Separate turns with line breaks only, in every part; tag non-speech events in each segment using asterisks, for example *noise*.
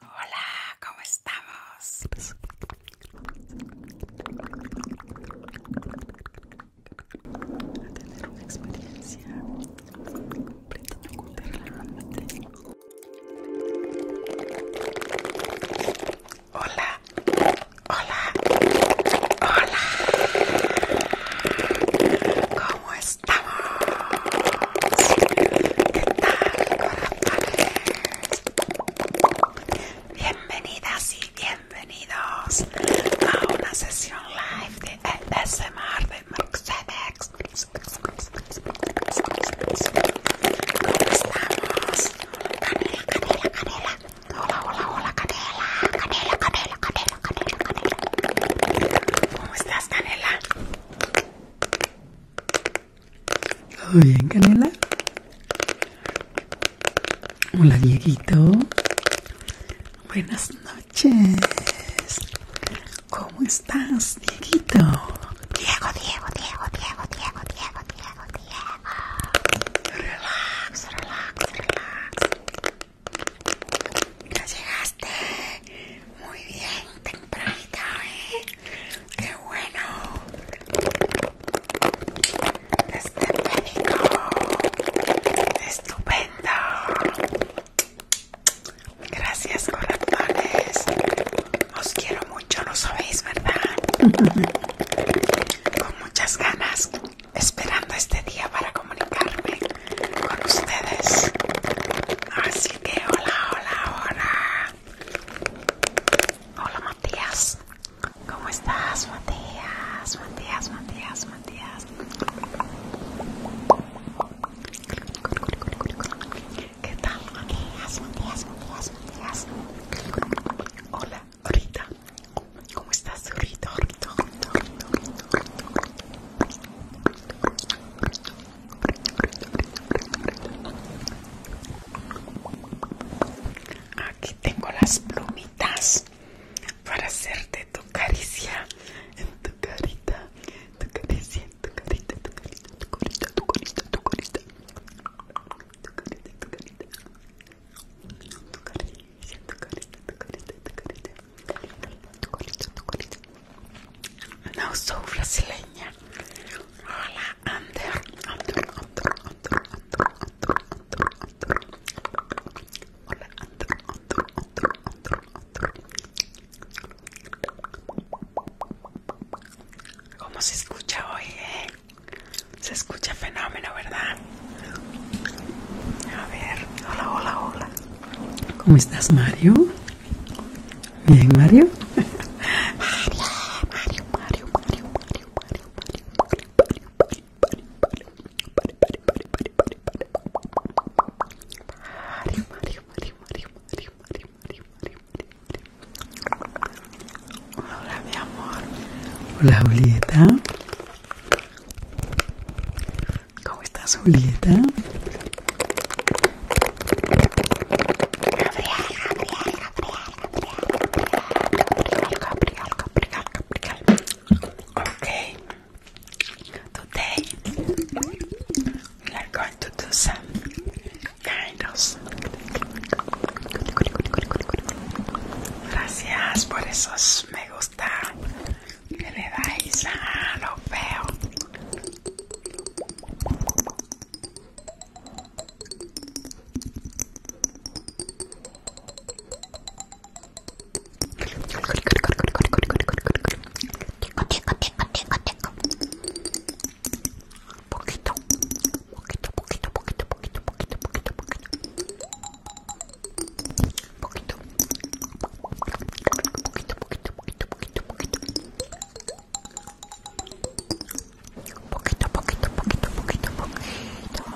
Hola, ¿cómo estamos? A tener una experiencia completamente Hola, hola, hola. ¿Cómo estás? estamos? ¿Qué tal, Bienvenidas y bienvenidos a una sesión live de ASMR de Mercedes. estamos?
Canela, canela, canela. Hola, hola, hola, canela, canela, canela, canela. ¿Cómo estás, Canela?
¿Todo bien, Canela? Hola, Dieguito. Buenas noches. ¿Cómo estás, Dieguito? Diego, Diego, Diego, Diego, Diego, Diego, Diego, Diego. Relax, relax, relax. Ya llegaste muy bien, tempranita, ¿eh?
¡Qué bueno! médico! ¡Estupendo! Gracias, corazones. Os quiero mucho, lo sabéis, ¿verdad? *laughs* Con muchas ganas, esperando este día para comunicarme con ustedes. Así que hola, hola, hola. Hola Matías. ¿Cómo estás Matías? Matías, Matías, Matías. ¿Qué tal Matías? Matías, Matías, Matías. Hola, ahorita. ¿Cómo estás ahorita? ahorita. Aquí tengo las plumitas para hacerte tu caricia en tu carita, tu tu carita, tu carita, tu carita, tu carita, tu carita, tu tu carita, tu tu carita, no soy brasileña. Hola, Ander. Ander, Ander, Ander, Hola, Ander, Ander, Ander, Ander, ¿Cómo se escucha hoy, eh? Se escucha fenómeno, ¿verdad? A
ver, hola, hola, hola. ¿Cómo estás, Mario? Bien, Mario. Mario, Mario, Mario, Mario, Mario, Mario, Mario, Mario, Mario, Mario, Mario, Mario. Mario, Mario, Mario, Mario, Mario, Mario, Mario, Mario, Hola, Mario amor. Hola, ¿Cómo estás, Julieta?
Okay. Today we are going to do some Gracias por esos me gusta que le dais a lo feo. poquito, Poquito, poquito, poquito, poquito, poquito, poquito. Poquito, poquito, poquito, poquito, poquito.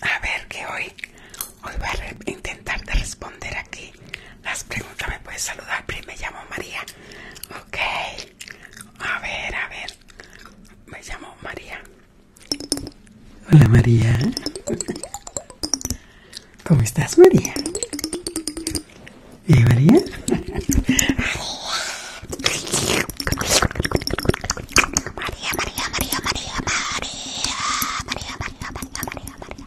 A ver que hoy, hoy voy a intentar de responder aquí las preguntas me puedes saludar, pero me llamo María. Ok, a ver, a ver. Me llamo María.
Hola María. ¿Cómo estás María? ¿Eh María? María, María, María, María, María, María, María, María, María, María, María,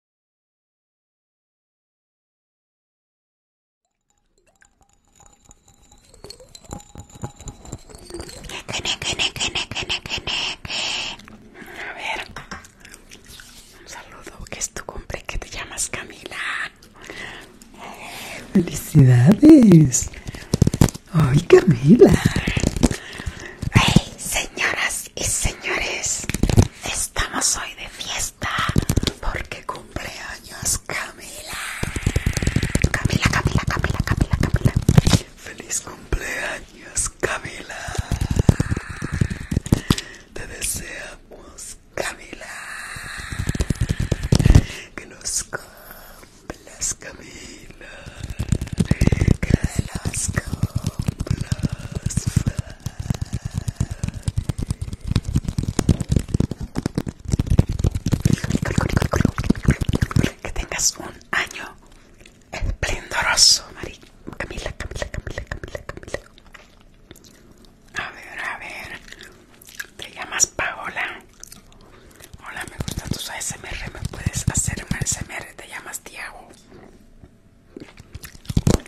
A ver, un saludo,
que es tu cumple, que te llamas Camila. Felicidades. Ay, Camila. Hey,
señoras y señores, Estamos hoy de fiesta porque cumpleaños Camila. Camila, Camila, Camila, Camila, Camila. Feliz cumpleaños Camila. Te deseamos Camila.
Que nos cumplas Camila. Que los cumplas.
Que tengas un año esplendoroso, Mari. Camila, Camila, Camila, Camila, Camila. A ver, a ver. Te llamas Paola. Hola, me gusta tus ASMR. Me puedes hacer un ASMR. Te llamas Tiago.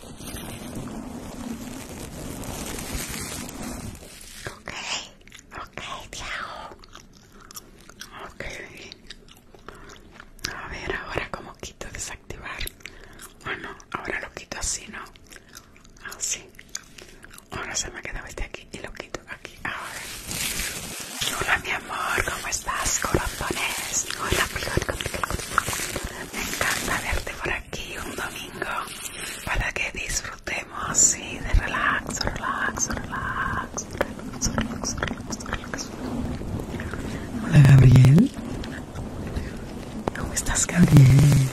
Okay, okay, amo Okay. A ver, ahora como quito desactivar. Bueno, ahora lo quito así, ¿no? Así. Ahora se me ha quedado este aquí y lo quito aquí. Ahora. Hola, mi amor, ¿cómo estás, corazones? Hola, Me encanta verte por aquí aquí un domingo para que disfrutemos de relax, relax, relax, relax,
relax, relax, relax. Hola Gabriel. ¿Cómo estás Gabriel?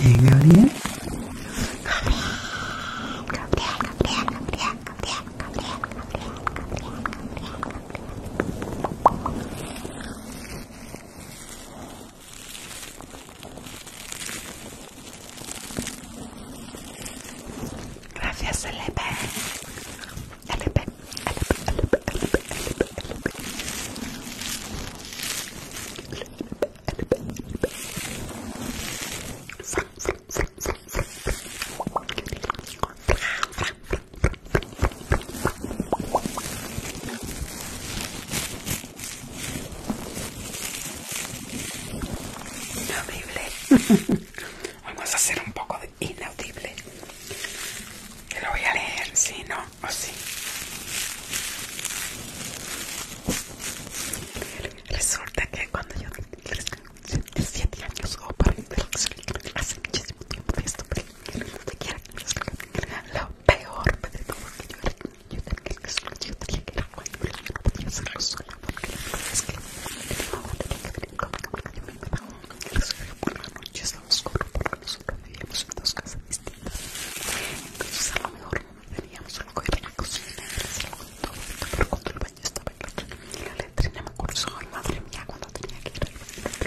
Bien Gabriel. Gabriel, Gabriel, Gabriel, Gabriel, Gabriel, Gabriel, Gabriel, Gabriel, Gabriel.
Gracias, LP. LP, Inaudible. *laughs* Vamos a hacer un poco de inaudible. Que lo voy a leer, si no, o si Resulta que cuando yo tenía 77 años, o oh, para para hace muchísimo tiempo que esto, lo peor, me dijo que yo era yo tenía que solo, yo tenía que ir a cuando yo no podía hacerlo sola porque es que no tenía que venir porque yo me iba a que resolvió por la noche estaba oscura porque nosotros vivíamos en dos casas distintas entonces a lo mejor no teníamos solo que ir a la cocina y
hacer algo todo pero cuando el baño estaba en la otra la letrina me acuerdo madre mía cuando tenía que ir al baño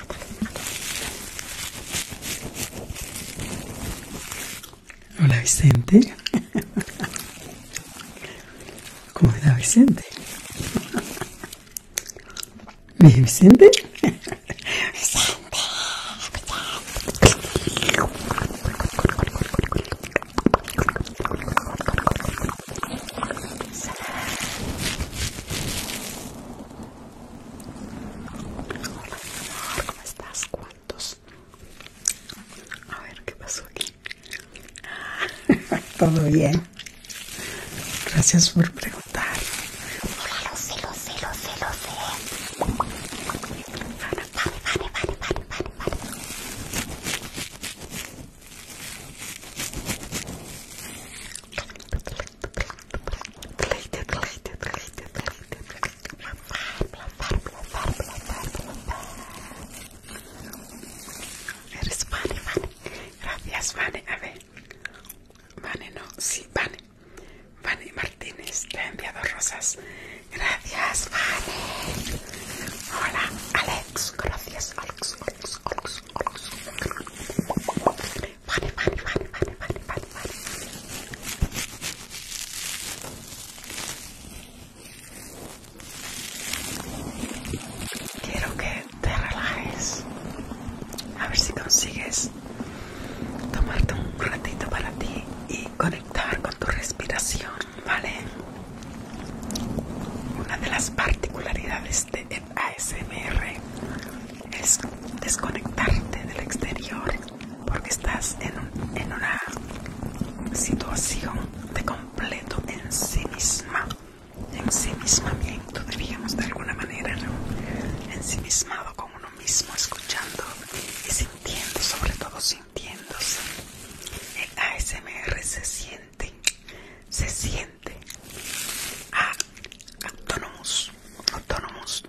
Hola Vicente. ¿Cómo está Vicente? ¿Me Vicente? Vicente.
¿Cómo estás? ¿Cuántos?
A ver, ¿qué pasó aquí? *laughs* Todo bien. Gracias por preguntar. Hola, lo sé, lo sé, lo sé, lo sé. Vale, vale, vale, vale, vale, vale, vale.
Eres Vane, Vane. Gracias, Vane. A ver. Vane, no. Sí, Vane. Vane Martínez te ha enviado rosas. Gracias, Vane. Hola, Alex. Gracias, Alex. Alex, Alex. Quiero que te relajes. A ver si consigues tomarte un ratito para ti y conectar con tu respiración, ¿vale? Una de las particularidades de ASMR es desconectarte del exterior porque estás en, una situación de completo en sí misma, en ensimismamiento diríamos de alguna manera, sí ensimismado con uno mismo, escuchando y sintiendo, sobre todo sintiéndose. El ASMR se siente, se siente a Autónomos.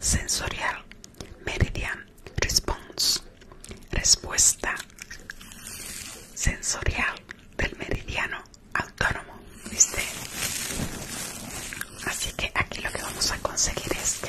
Sensorial, Meridian, Response, Respuesta, Sensorial del Meridiano Autónomo, ¿viste? Así que aquí lo que vamos a conseguir es que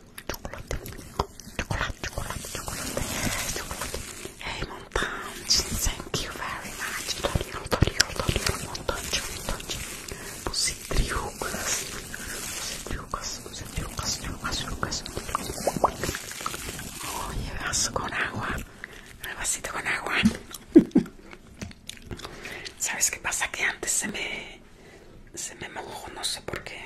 chocolate, chocolate, chocolate, chocolate, Hey, Montage, thank you very much. Pusitriucas, vaso con agua, vasito con agua. ¿Sabes qué pasa? Que antes se me se me mojó, no sé por qué.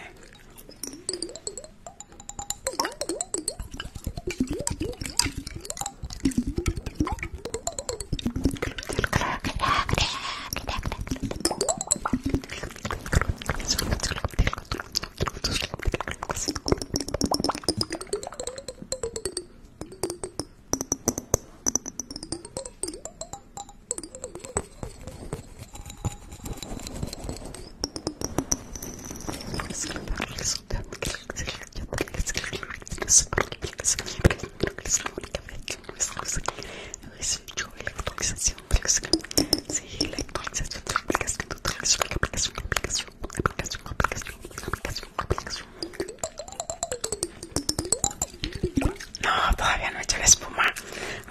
No, todavía no he hecho la espuma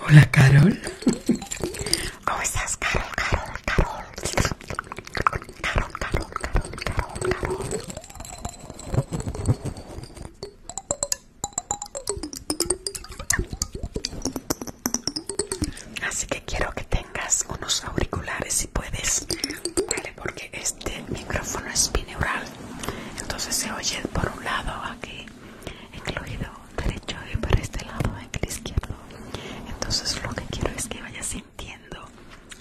Hola, Carol. ¿Cómo estás, Carol? Carol, Carol. Carol, Carol, Carol, Carol, Carol. Así que quiero que tengas unos auriculares si puedes, ¿vale? Porque este micrófono es bineural, entonces se oye por un lado aquí incluido derecho y para este lado en el izquierdo entonces lo que quiero es que vayas sintiendo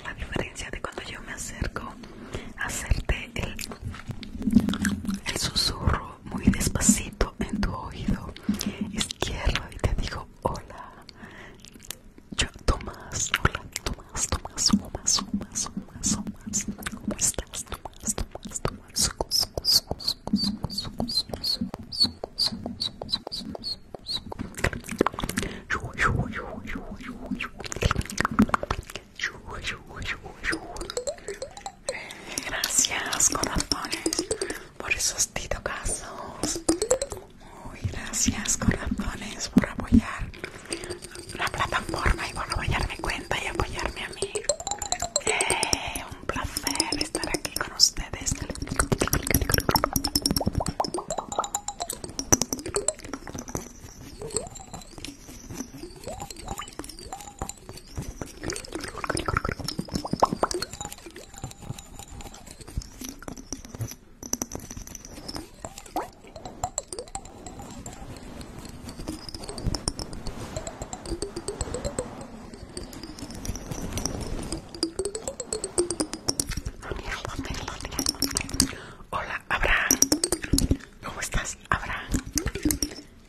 la diferencia de cuando yo me acerco a hacerte el, el susurro muy despacito en tu oído izquierdo y te digo hola yo Tomás hola Tomás Tomás Tomás Tomás Tomás Tomás ¿cómo estás Tomás Tomás Tomás Gracias, corazones, por esos titocazos. gracias, corazones, por apoyar la plataforma y por apoyar cuenta y apoyarme a mí. Eh, un placer estar aquí con ustedes. Hola, Abraham. ¿Cómo estás, Abraham?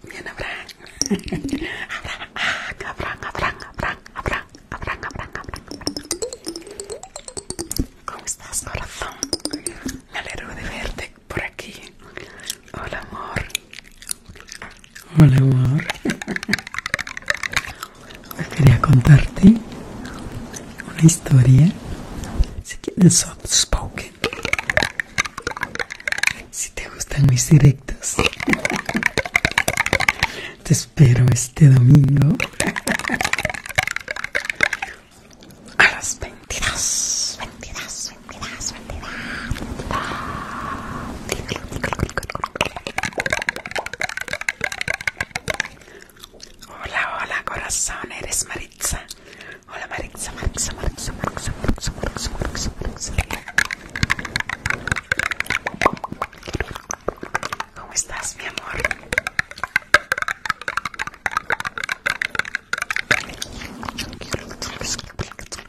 Bien, Abraham. *laughs* Abraham, Abraham, Abraham, Abraham, Abraham, Abraham, Abraham, Abraham. ¿Cómo estás, corazón? Me alegro de
verte por aquí. Hola, amor. Hola amor. Quería contarte una historia. Si tienes soft spoken. Si te gustan mis directos. Te espero este domingo a las 22. 22. smettila, smettila, smettila. Diccolo, diccolo,
diccolo. Hola, hola, corazón, eres Maritza. Hola Maritza, Maritza, Maritza, Maritza, Maritza, Maritza, Maritza, Maritza.
¿Cómo estás, mi amor?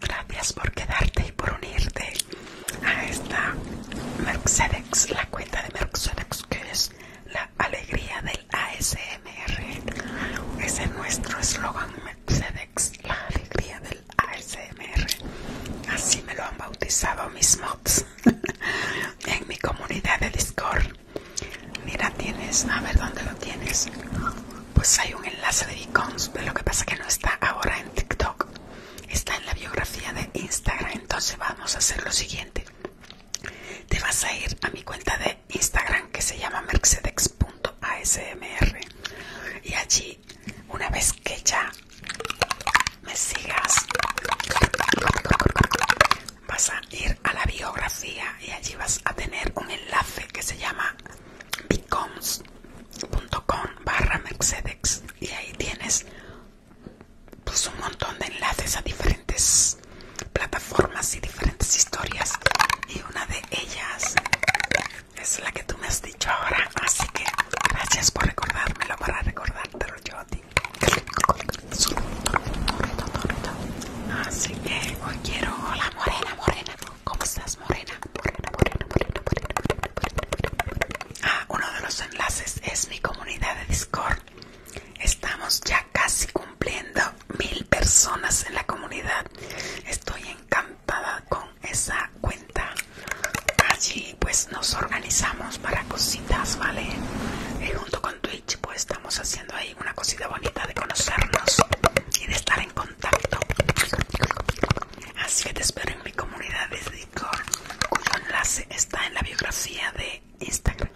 Gracias por quedarte y por unirte a esta Mercedes, la cuenta de Mercedes que es la alegría del ASMR. Ese es nuestro eslogan Mercedes, la alegría del ASMR. Así me lo han bautizado mis mods *laughs* en mi comunidad de Discord. Mira, tienes, a ver dónde lo tienes pues hay un enlace de Beacons, lo que pasa es que no está ahora en TikTok, está en la biografía de Instagram, entonces vamos a hacer lo siguiente. Te vas a ir a mi cuenta de Instagram que se llama mercedex.asmr y allí una vez que ya me sigas vas a ir a la biografía y allí vas a tener un enlace que se llama bitcoms.com barra mercedex y ahí tienes pues un montón de enlaces a diferentes plataformas y diferentes historias y una de ellas es la que tú me has dicho ahora así que gracias por recordármelo para recordártelo yo a ti así que hoy quiero la morena morena ¿Cómo estás, morena? Morena, morena, morena, Ah, uno de los enlaces es mi comunidad de Discord. Estamos ya casi cumpliendo mil personas en la comunidad. Estoy encantada con esa cuenta. Allí pues nos organizamos para cositas, ¿vale? Y eh, junto con Twitch pues estamos haciendo ahí una cosita bonita de conocernos y de estar en contacto. Así que te espero en mi comunidad de Discord, cuyo enlace está en la biografía de Instagram.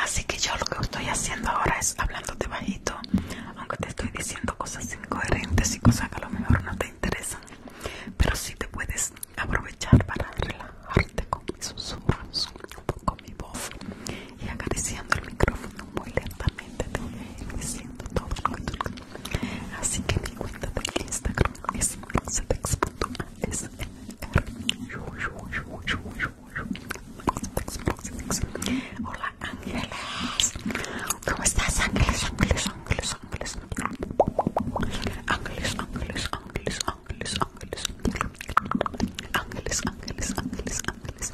Así que yo lo que estoy haciendo ahora es hablándote bajito, aunque te estoy diciendo cosas incoherentes y cosas que a lo mejor no te interesan, pero si te puedes aprovechar para relajarte con mis susurros, con mi voz y acariciando el micrófono muy lentamente te voy lo que diciendo así que mi cuenta de Instagram es Hola
Ángeles, ¿cómo estás Ángeles? Ángeles, Ángeles, Ángeles, Ángeles, Ángeles, Ángeles, Ángeles, Ángeles, Ángeles, Ángeles,
Ángeles, Ángeles,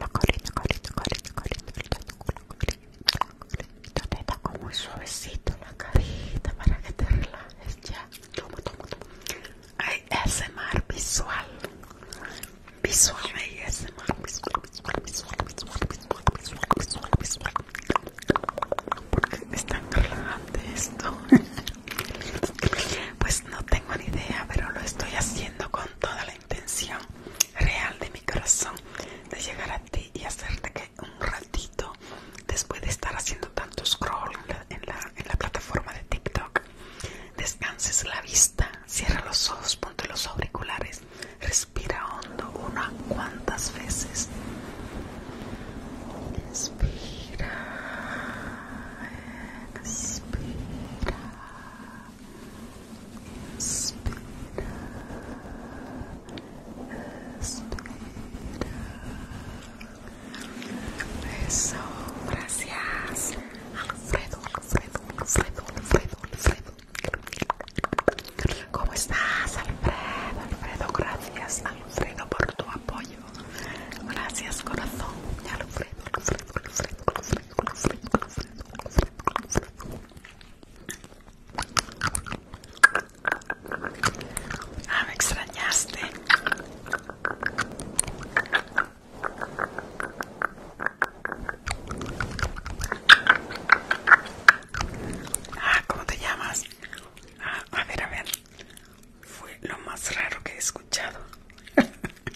La colita, colita, colita, colita, colita, colita, Te suavecito la carita para que te ya. Ay, visual. Visual, ese visual, visual, visual, esto. *laughs* Pues no tengo ni idea, pero lo estoy haciendo con toda intención real de mi corazón de llegar a ti y hacerte que un ratito después de estar haciendo tanto scroll en la, plataforma de TikTok descanses la vista, cierra los ojos, ponte los auriculares, respira hondo una cuantas veces. Inspira, expira. Espera, espera. Eso, gracias. Alfredo, Alfredo, Alfredo, Alfredo, Alfredo. ¿Cómo estás, Alfredo? Alfredo, gracias, Alfredo, por tu apoyo.
Gracias, corazón. Alfredo, Alfredo, Alfredo. Ah, extrañaste.
Ah, ¿cómo te llamas? Ah, a ver, a ver. Fue lo más raro que he escuchado. *laughs*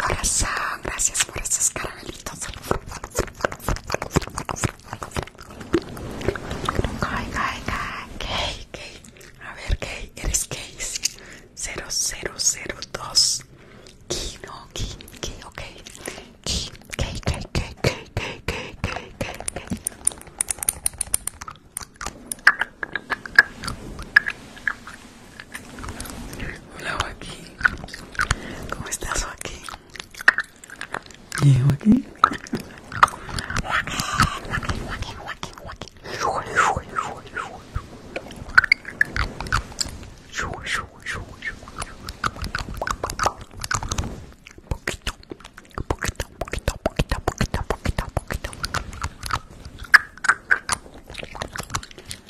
Corazón, gracias por esos
caramelitos. A ver, ¿qué? eres gay. 0002. no, ok.
Hola aquí, ¿cómo estás aquí? Bien aquí. Joaquín
poquito, poquito, poquito, poquito, poquito, poquito, poquito.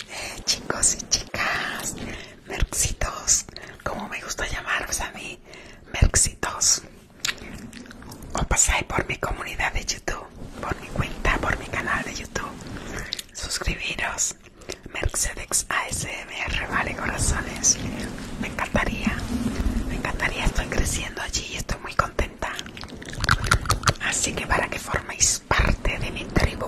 Eh, chicos y chicas, merxitos, como me gusta llamarlos a mí, merxitos. O pasáis por mi comunidad de YouTube, por mi cuenta, por mi canal de YouTube. Suscribiros, Merxedex AS vale corazones. Me encantaría, me encantaría. Estoy creciendo allí y estoy muy contenta. Así que para que forméis parte de mi tribu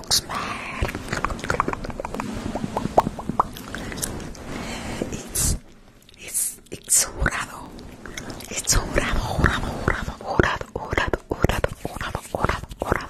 It's, it's, it's jurado. It's jurado, jurado, jurado, jurado, jurado, jurado, jurado, jurado, jurado.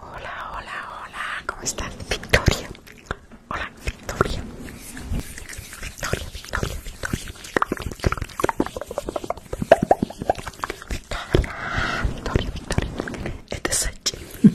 Hola, hola, hola, ¿cómo estás? Victoria. Hola, Victoria. Victoria, Victoria, Victoria. Victoria, Victoria. Victoria. Este el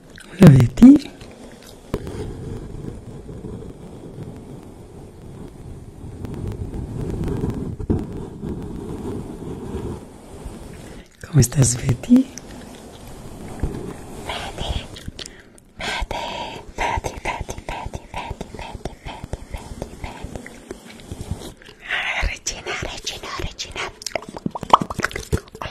Hola, de ¿Cómo estás, Betty? Betty, Betty, Betty, Betty,
Betty, Betty, Betty, Betty, Betty, Betty. Regina, Regina,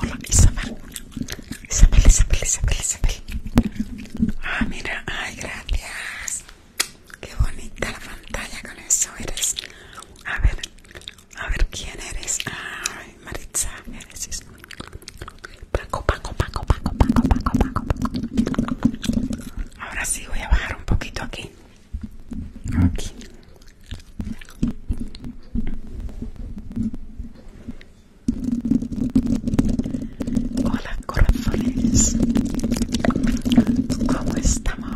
Hola Isabel, Isabel, Isabel, Isabel, Isabel. Ah, mira, ay, gracias. Qué bonita la pantalla con eso eres. A ver, a ver quién eres. Ay, Maritza, eres Paco, Paco, Paco, Paco, Paco, Paco, Paco. Ahora sí voy a bajar un poquito aquí. Aquí. Hola corazones. ¿Cómo estamos?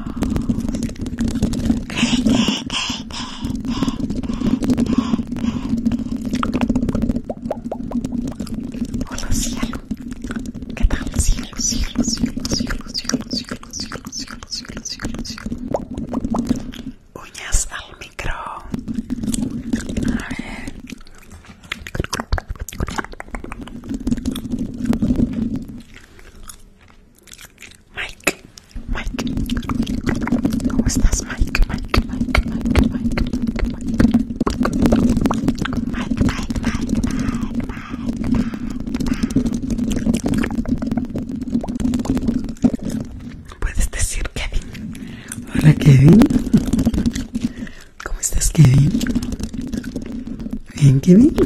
Hola cielo, ¿qué tal cielo, cielo,
cielo, cielo, cielo, cielo, cielo, cielo, cielo, cielo, cielo? Uñas al micro. Mike, Mike, ¿cómo estás? Mike, Mike, Mike, Mike, Mike, Mike, Mike, Mike,
Puedes decir Kevin. Hola Kevin. ¿Cómo estás Kevin? Bien Kevin.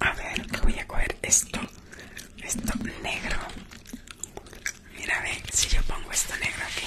A ver, que voy a coger esto. Esto negro. Mira, ve si yo pongo esto negro aquí.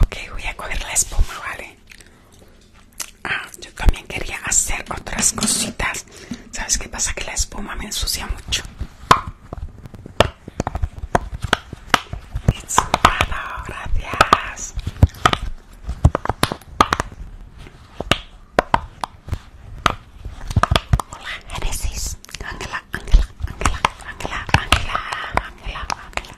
Ok, voy a coger la espuma, ¿vale? Ah, yo también quería hacer otras cositas. ¿Sabes qué pasa? Que la espuma me ensucia mucho. It's gracias. Hola, Génesis. Ángela, Ángela, Ángela, Ángela, Ángela, Ángela, Ángela.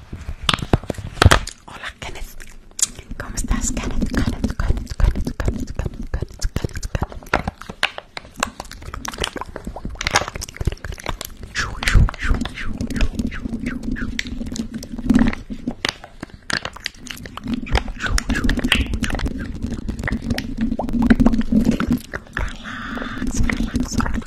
Hola, Kenneth. ¿Cómo estás, Kenneth? Kenneth, Kenneth, Kenneth, Kenneth, Kenneth, Kenneth, Kenneth, Kenneth. Relax, relax, relax.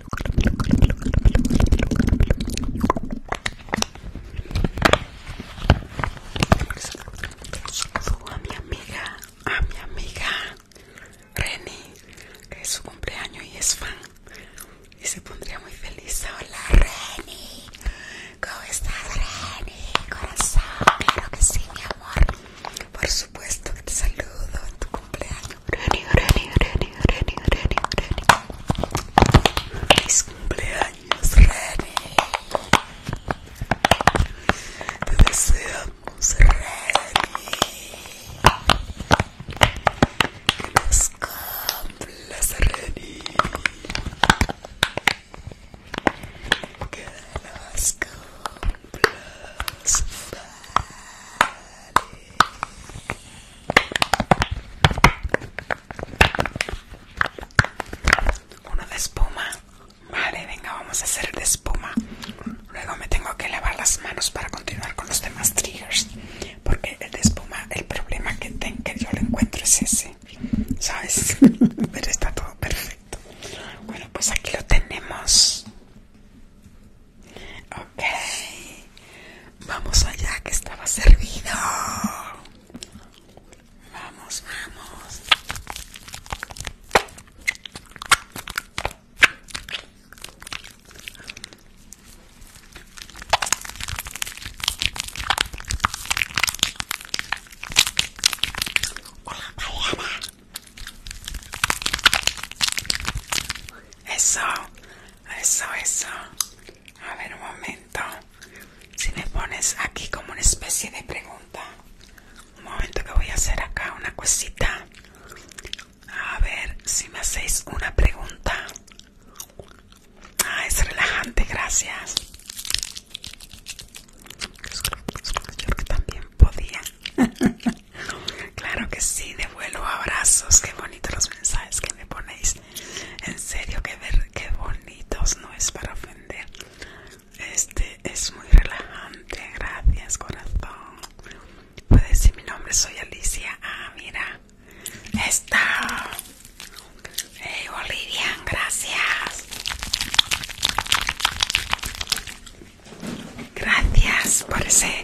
Saludo a mi amiga, a mi amiga Reni, que es su cumpleaños y es fan. Y se pondría muy feliz. Hola Reni, ¿cómo estás Reni? Corazón, claro que sí, mi amor. Por supuesto que te saludo en tu cumpleaños. Feliz cumpleaños, Reni. Te deseamos, Reni. Que nos cumplas, Reni. Que nos cumplas. Bye. Uno de espuma. Vale, venga, vamos a hacer el de espuma. Luego me tengo que lavar las manos para continuar con los demás triggers. Porque el de espuma, el problema que, tengo que yo lo encuentro es ese. ¿Sabes? *laughs* Pero está todo perfecto. Bueno, pues aquí lo tenemos. Okay, vamos allá que estaba servido. Vamos, vamos. Hola, Eso, eso, eso. A ver un momento. Si me pones aquí como una especie de pregunta. Un momento que voy a hacer acá una cosita. A ver si me hacéis una pregunta. Ah, es relajante, gracias. Yo que también podía. *laughs* Claro que sí, de vuelo, abrazos, qué bonitos los mensajes que me ponéis. En serio, qué, qué bonitos, no es para ofender. Este es muy relajante, gracias corazón. Puedes decir mi nombre, soy Alicia. Ah, mira. Está. Hey, Olivia, gracias. Gracias por ese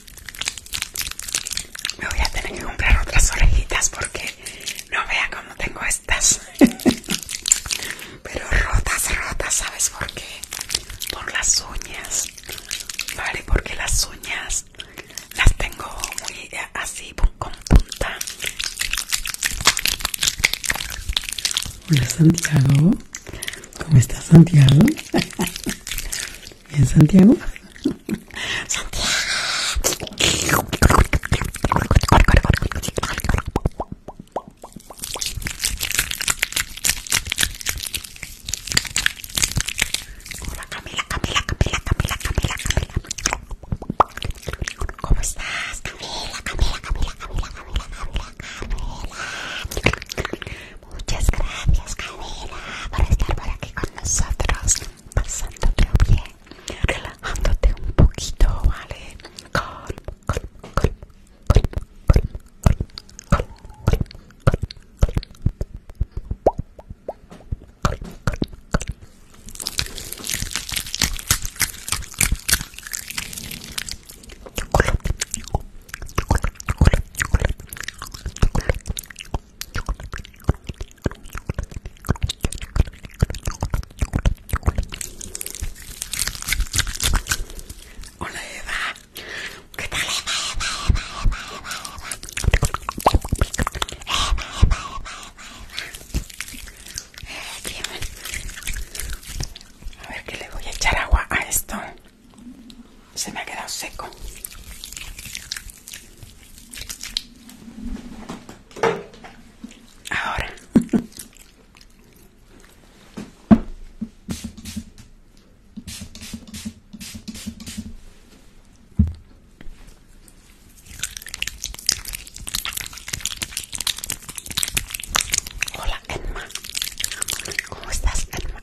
Me voy a tener que comprar otras orejitas porque no vea cómo tengo estas. *laughs* Pero rotas, rotas, ¿sabes por qué? Por las uñas. Vale, porque las uñas las tengo muy eh, así
con punta. Hola Santiago, ¿cómo estás Santiago? *laughs* ¿En Santiago? Santiago.
Camila, Camila, Camila, Camila, Camila, Camila, Camila, Camila, Camila, Camila. Muchas gracias, Camila por estar por aquí con nosotros, Pasándote bien, relajándote un poquito, ¿vale? Hola ¿qué tal Eva, Eva, qué tal, eh, a ver qué le voy a echar agua a esto se me ha quedado seco ahora
Hola Emma, ¿cómo estás Emma?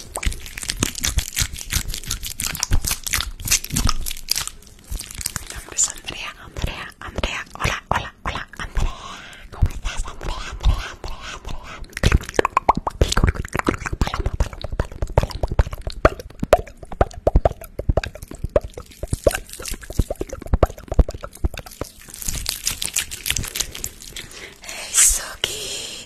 nombre Andrea, Andrea, Andrea. Hola, hola, hola, Andrea. ¿Cómo Andrea, Andrea, Andrea, Andrea? Hey, Soki.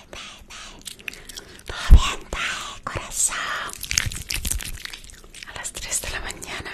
corazón. A las 3 de la mañana.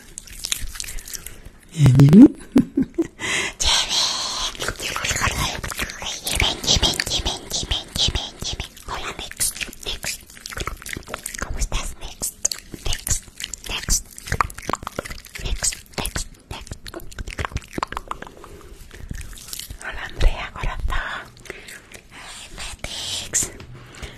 Yemin. Yemin, Yemin,
Yemin, Yemin, Yemin, Hola, next, ¿Cómo estás, next? Next, next. Next, next, next. Hola, Andrea, corazón. Ay,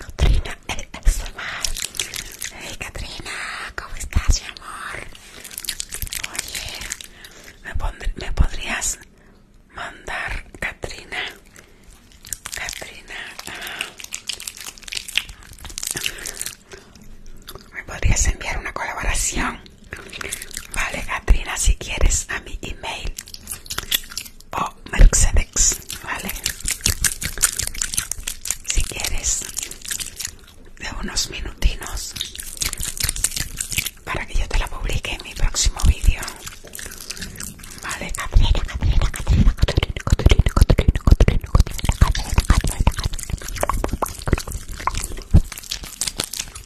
Catrina, eh, es Hey Catrina, ¿cómo estás, mi amor? Oye, ¿me, podrías mandar, Catrina? Catrina, ah. ¿me podrías enviar una colaboración? Vale, Katrina, si quieres a mi email o vale. Si quieres de unos minutinos para que yo te la publique en mi próximo vídeo. Vale, Katrina, Katrina, Katrina, Katrina, Katrina, Katrina, Katrina, Katrina, Katrina,
Katrina, Katrina.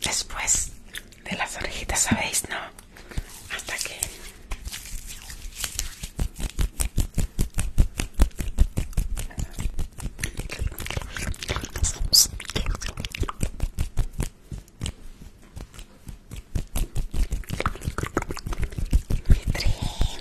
Después de las orejitas, ¿sabéis, no? Hasta que...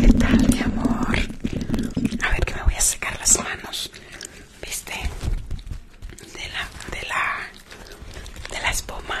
¿Qué tal, mi amor? A ver que me voy a secar las manos, ¿viste? De la, de la, de la espuma.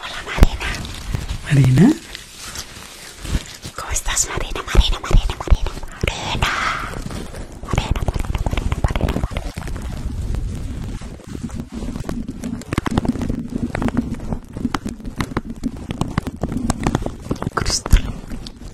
Hola Marina. Marina. ¿Cómo estás Marina? Marina, Marina, Marina. Marina. Marina, Marina,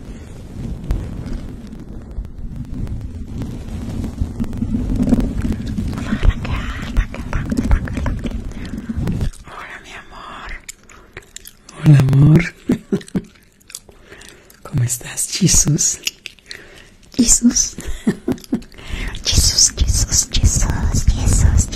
Hola mi amor. Hola amor. ¿Cómo estás, Jesús? Jesús.
Jesús, Jesús, Jesús, Jesús, Jesús.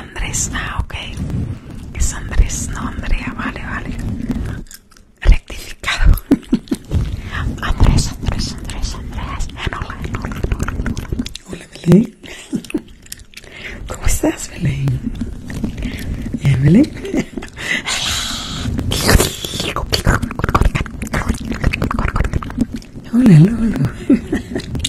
Andrés, no, ah, ok. Es Andrés, no Andrea, vale, vale. Electrificado. *laughs*
Andrés, Andrés, Andrés, Andrés. Hola, hola, hola, hola. Hola, Belén. *laughs* ¿Cómo estás, Belén? *laughs* hola, hola, Hola, hola.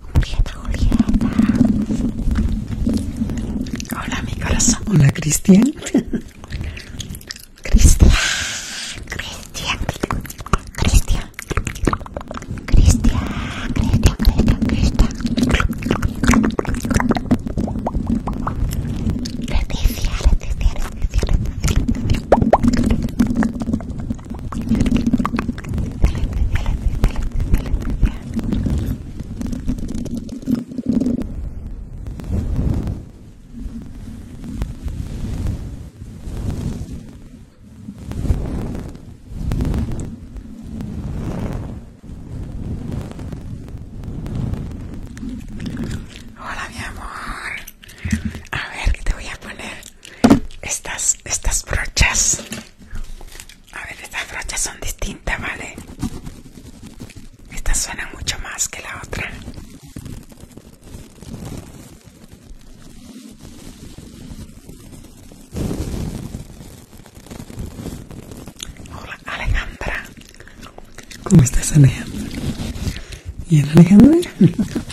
Julieta, Julieta. Hola, mi corazón. Hola, Cristian. Cristian, Cristian, Cristian, Cristian, Cristian, Cristian, Leticia, Leticia, Leticia.
Hola mi amor. A ver, ¿qué te voy a poner? estas, estas brochas. A ver, estas brochas son distintas, ¿vale? Estas suenan mucho más que la otra.
Hola, Alejandra. ¿Cómo estás, Alejandra? ¿Y Alejandro? Alejandra? *laughs* Alejandra.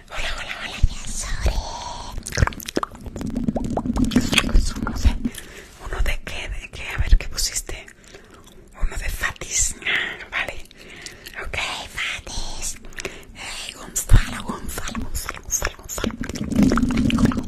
Hola, hola, hola, Uno eh, uno de qué, de qué, a ver qué pusiste. Uno de Fatis. Ah, vale. Ok, Fatis. Hey, Gonzalo, Gonzalo, Gonzalo, Gonzalo, Gonzalo. Gonzalo, Gonzalo, Gonzalo.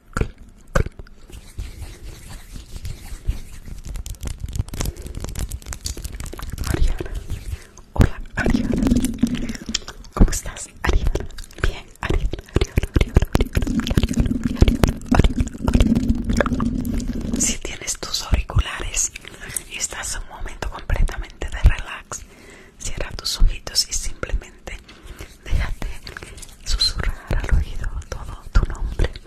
Ariana, hola Ariana, ¿cómo estás Ariana? Bien, Ariana, Ariana, Ariana, Ariana, Ariana, Ariana, Si tienes tus auriculares y estás en un momento completamente de relax, cierra tus ojitos y simplemente déjate susurrar al oído todo tu nombre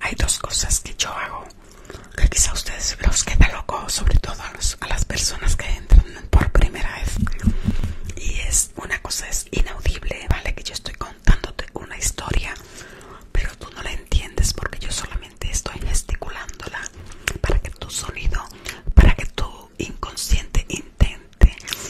Hay dos cosas que yo hago que quizá ustedes los queda loco, sobre todo a, a las personas que entran por primera vez. Y es una cosa es inaudible, vale, que yo estoy contándote una historia, pero tú no la entiendes porque yo solamente estoy gesticulándola para que tu sonido, para que tu inconsciente intente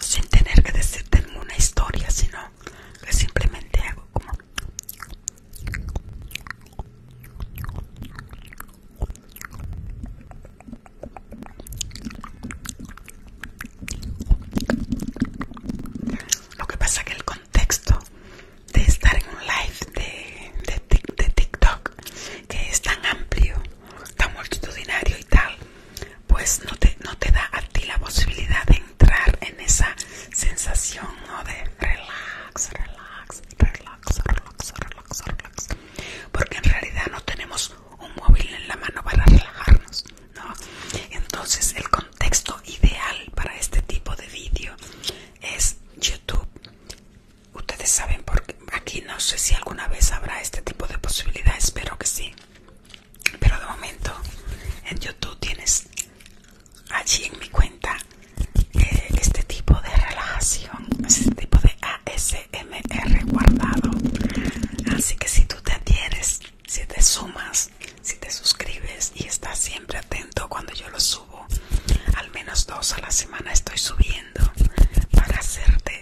sin tener que decirte ninguna historia, sino que simplemente hago como lo que pasa que el contexto de estar en un live de TikTok que es tan amplio tan multitudinario y tal, pues no te, da a ti la posibilidad de entrar en esa sensación de relax, relax, relax, relax, relax, relax. Porque en realidad no tenemos un móvil en la mano para relajarnos, Entonces el contexto ideal para este tipo de vídeo es YouTube. Ustedes saben por qué aquí no sé si alguna vez habrá este tipo de posibilidad, espero que sí. Pero de momento en YouTube tienes allí en mi cuenta eh, este tipo de relajación, este tipo de ASMR guardado. Así que si tú te adhieres, si te sumas, si te suscribes y estás siempre atento cuando yo lo subo, al menos dos a la semana estoy subiendo para hacerte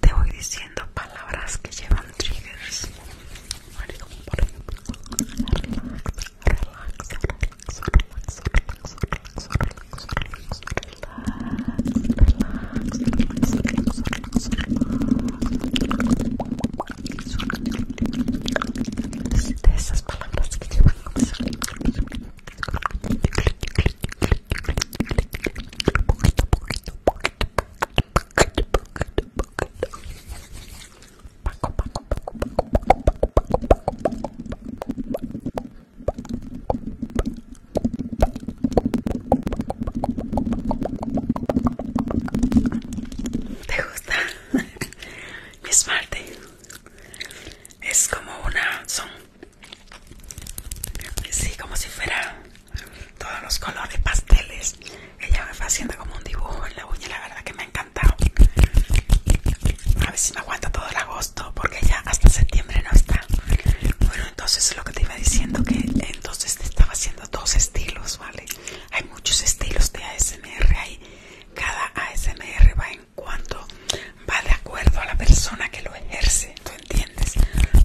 Te voy diciendo palabras que llevan triggers. Por ejemplo, relax, relax, relax, relax, ¿Te gusta? mi *laughs* parte. Es como una... son Sí, como si fuera todos los colores pasteles. Ella me fue haciendo como un dibujo en la uña, la verdad que me ha encantado. A ver si me aguanta todo el agosto, porque ya hasta septiembre no está. Bueno, entonces lo que te iba diciendo que entonces estaba haciendo dos estilos, ¿vale? Hay muchos estilos de ASMR, hay cada ASMR va en cuando va de acuerdo a la persona que lo ejerce, ¿tú entiendes?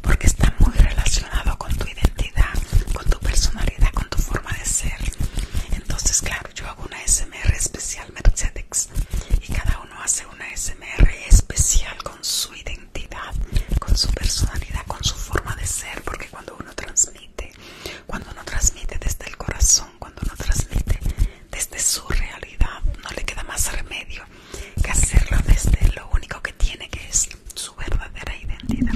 Porque está muy relacionado con tu identidad, con tu personalidad, con tu forma de ser. Entonces, claro, yo hago una SMR especial Mercedes y cada uno hace una SMR especial con su identidad, con su personalidad, con su forma de ser, porque cuando uno transmite, cuando uno transmite desde el corazón, cuando uno transmite desde su realidad no le queda más remedio que hacerlo desde lo único que tiene que es su verdadera identidad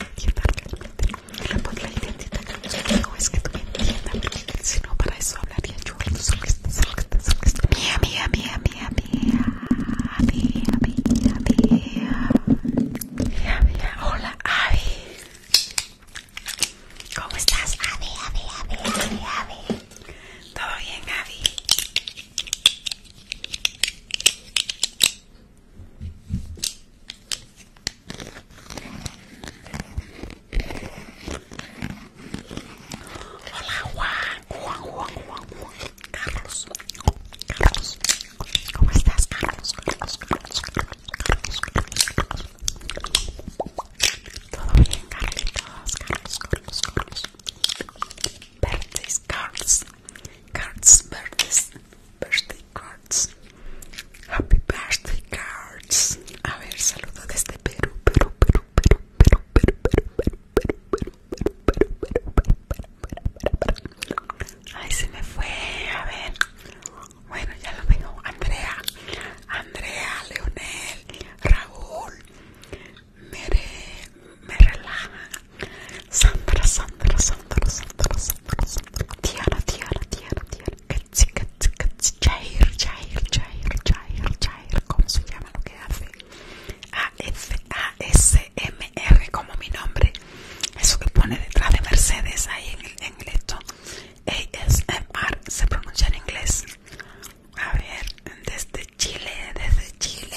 entiendan realmente. La, es que tú entiendas, si para eso hablaría yo. Mía, mía, mía, mía, mía, Hola, Avi. ¿Cómo estás, Avi, ¿Todo bien, Avi? Hola Juan, Juan, Juan, Juan, Carlos, Carlos, ¿cómo estás Carlos? Carlos, Carlos, Carlos, Carlos. Todo bien Carlos, Carlos, Carlos. Carlos cards, birthday cards, happy birthday cards. A ver, saludo desde Perú, Perú, Perú, Perú, Perú, Perú, Perú, Perú, Perú, Perú, Perú, Perú, Perú, Perú. Ay, se me fue. A ver. Bueno, ya lo tengo. Andrea, Andrea, Leonel, Raúl. Mere me Sandra, Sandra, Sandra, Sandra, Sandra, Sandra, Tiara, Tiara, Tiara, Tiara, Ketsi, Ketsi, Ketsi, Jair, Jair, Jair, Jair, Jair, ¿cómo se llama lo que hace? A-F-A-S-M-R, como mi nombre, eso que pone detrás de Mercedes ahí en el, en s m ASMR, se pronuncia en inglés, a ver, desde Chile, desde Chile,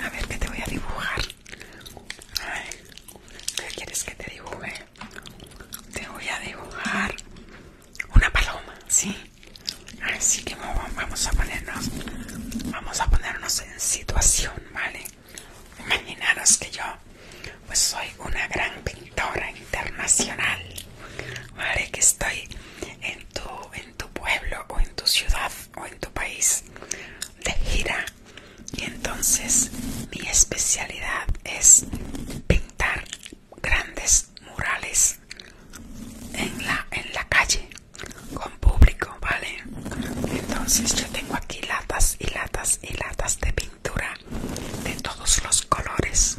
A ver, ¿qué te voy a dibujar? ¿Qué quieres que te dibuje? Te voy a dibujar una paloma, ¿sí? Así que vamos a ponernos, vamos a ponernos en situación, ¿vale? Imaginaros que yo pues soy una gran pintora internacional, ¿vale? Que estoy en tu, en tu pueblo o en tu ciudad o en tu país de gira y entonces mi especialidad es pintar grandes murales en la, en la calle con público, ¿vale? Entonces yo tengo aquí latas y latas y latas de pintura de todos los colores.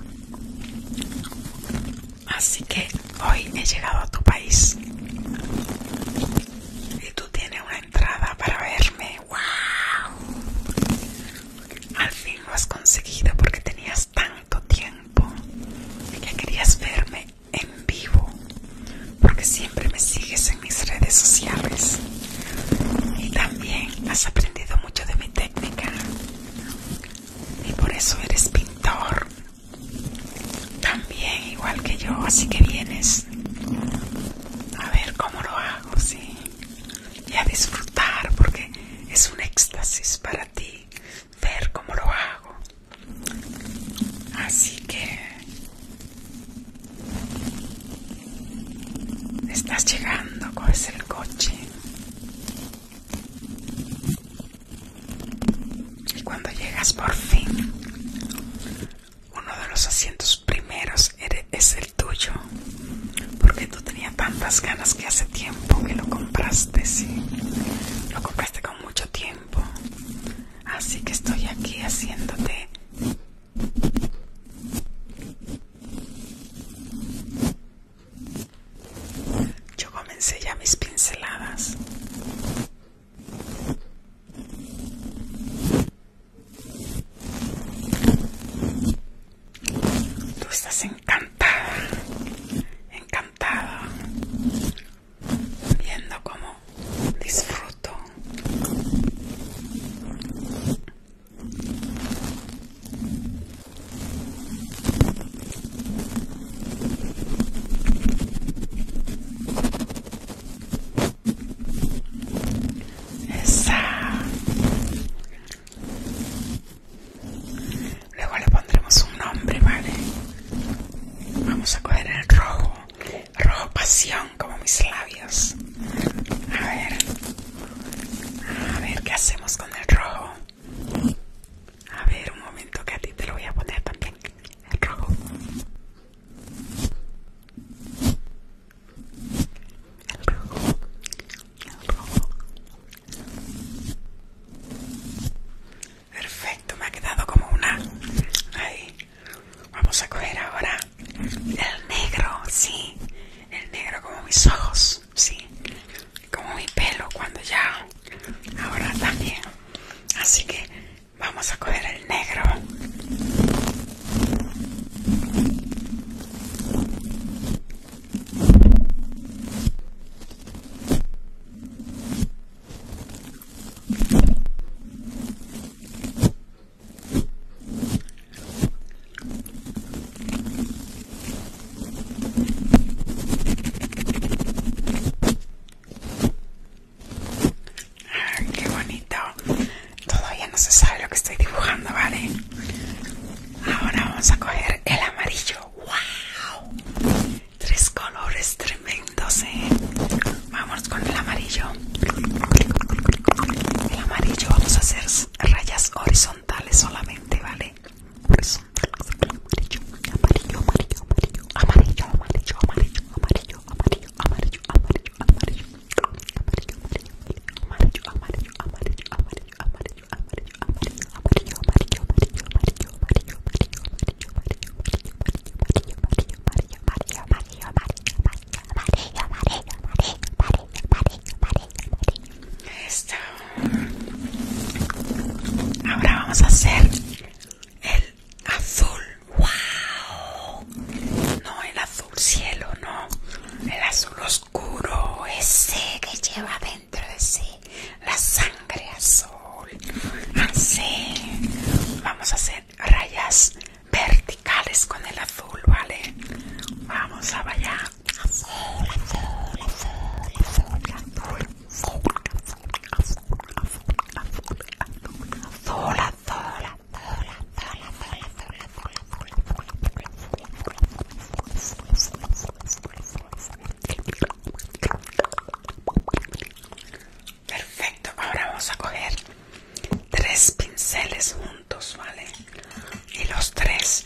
Así que hoy he llegado a tu país y tú tienes una entrada para verme. ¡Wow! Al fin lo has conseguido porque tenías tanto tiempo que querías verme en vivo, porque siempre me sigues mis redes sociales y también has aprendido mucho de mi técnica y por eso eres pintor también igual que yo así que vienes a ver cómo lo hago sí y a disfrutar porque es un éxtasis para ti ver cómo lo hago así que Estás llegando, con el coche. Y cuando llegas por fin, uno de los asientos primeros es el tuyo. Porque tú tenías tantas ganas que hace tiempo que lo compraste, sí. Lo compraste con mucho tiempo. Así que estoy aquí haciéndote yo comencé ya mis pinceladas.
Tú estás encantada, encantada, viendo cómo disfruto esa.
Luego le pondremos un nombre, ¿vale? Vamos a coger el rojo Rojo pasión como mis labios. A ver. A ver qué hacemos con el rojo. A ver, un momento que a ti te lo voy a poner también. El rojo. El rojo. El rojo. Perfecto, me ha quedado como una. Ahí. Vamos a coger ahora el negro, sí, el negro como mis ojos, sí, como mi pelo cuando ya, ahora también. Así que vamos a coger el negro qué bonito. Todavía no se sabe lo que estoy dibujando, ¿vale? Ahora vamos a coger el amarillo. ¡Wow! Tres colores tremendos, ¿eh? Vamos con el amarillo el amarillo vamos a hacer rayas horizontales solamente vale amarillo Ahora vamos a hacer el azul. ¡Wow! No el azul cielo, no. El azul oscuro, ese que lleva dentro de sí la sangre azul. Así. Vamos a hacer rayas verticales con el azul, ¿vale? Vamos a bailar. azul, azul, azul, azul, azul. Perfecto, ahora vamos a coger tres pinceles juntos, ¿vale? Y los tres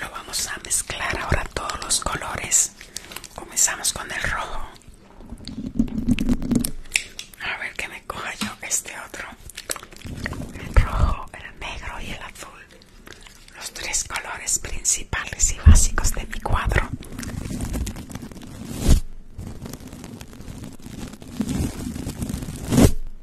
lo vamos a mezclar ahora todos los colores. Comenzamos con el rojo. A ver que me coja yo este otro. El rojo, el negro y el azul. Los tres colores principales y básicos de mi cuadro.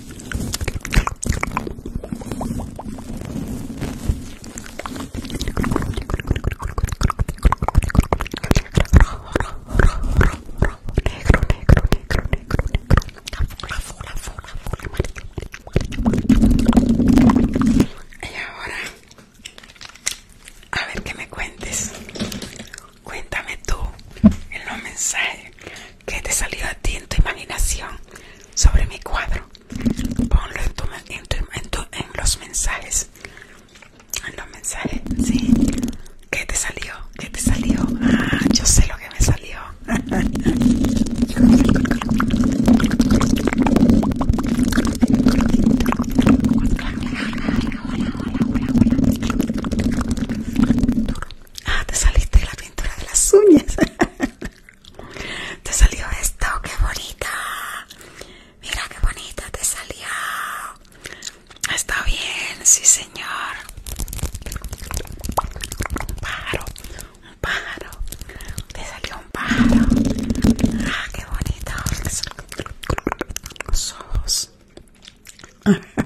Y ahora, a ver que me cuentes. Cuéntame tú en los mensajes que te salió a ti en tu imaginación sobre mi cuadro ponlo en, tu, en, en, los mensajes en los mensajes sí ¿Qué te salió? ¿Qué te salió? Ah, yo sé lo que me salió. Ah, te saliste de la pintura de las uñas. *laughs* Te salió esto, que bonita. Mira qué bonita te salió. Está bien, sí señor. Un pájaro, un pájaro. Te salió un pájaro. Ah, qué bonita Los ojos. *laughs*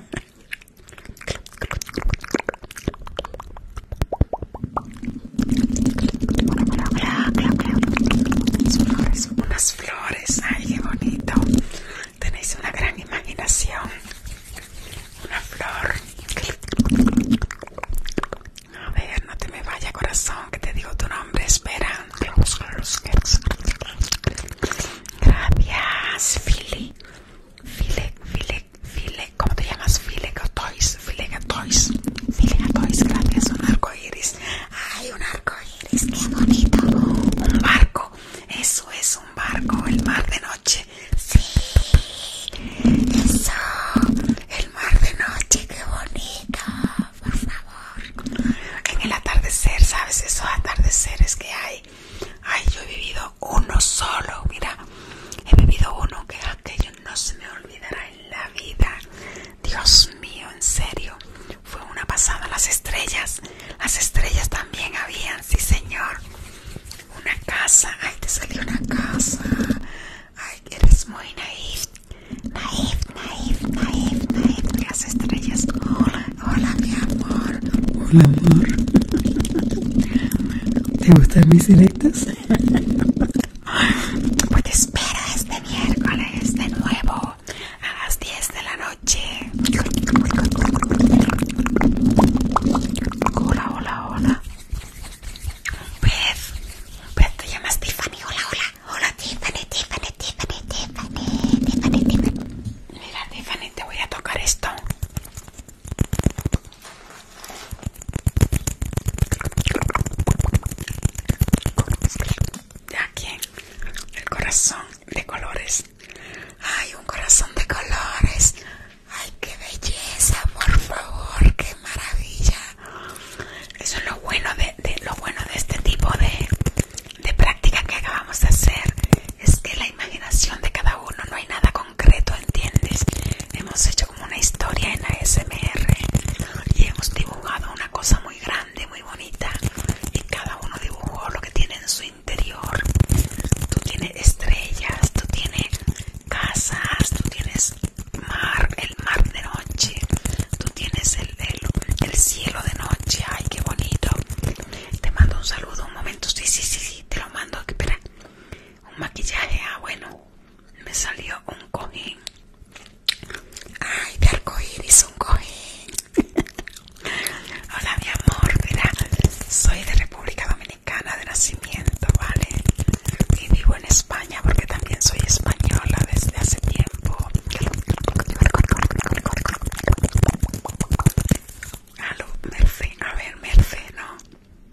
unas flores, ay qué bonito. Tenéis una gran imaginación. Una flor. A ver, no te me vaya corazón, que te digo tu nombre, espera. Gracias, Fili. Philly, Philly ¿cómo te llamas? Filegatois, Filegatois, gracias, un arco iris. Ay, un arco iris, qué bonito. Un barco, eso es un barco, el mar de noche. Sí, eso, el mar de noche, qué bonito, por favor. En el atardecer, ¿sabes? Esos atardeceres que hay. Ay, yo he vivido uno solo, mira, he vivido uno que yo no se me olvidará en la vida. Dios mío, en serio, fue una pasada. Las estrellas, las estrellas también habían, sí señor. Una casa, ay, te salió una casa. Ay, eres muy naif. Naif, naif, naif, Las estrellas, hola, hola,
mi amor. Hola, amor. ¿Te gustan mis siletas? *laughs* *laughs* Pues te espero este miércoles
de nuevo a las 10 de la noche. Hola, hola, hola. Beth, Beth, te llamas Tiffany. Hola, hola. Hola, Tiffany, Tiffany, Tiffany, Tiffany, Tiffany, Tiffany. Mira, Tiffany, te voy a tocar esto. De aquí, el corazón de colores. Ay, un corazón de colores. Ay, qué belleza, por favor, qué maravilla. Eso es lo bueno de, lo bueno de este tipo de, práctica que acabamos de hacer. Es que la imaginación de cada uno no hay nada concreto, ¿entiendes? Hemos hecho como una historia en ASMR y hemos dibujado una cosa muy grande, muy bonita y cada uno dibujó lo que tiene en su interior. Tú tienes estrellas, tú tienes casas, tú tienes mar, el mar de noche, tú tienes el, el cielo de noche, ay qué bonito. Te mando un saludo, un momento, sí, sí, sí, sí, te lo mando, espera un maquillaje, ah bueno, me salió un cojín, ay de arcoíris, un cojín, *laughs* hola mi amor, mira, soy de República Dominicana de nacimiento, vale, y vivo en España porque también soy española desde hace tiempo, Aló, a ver, Merce, no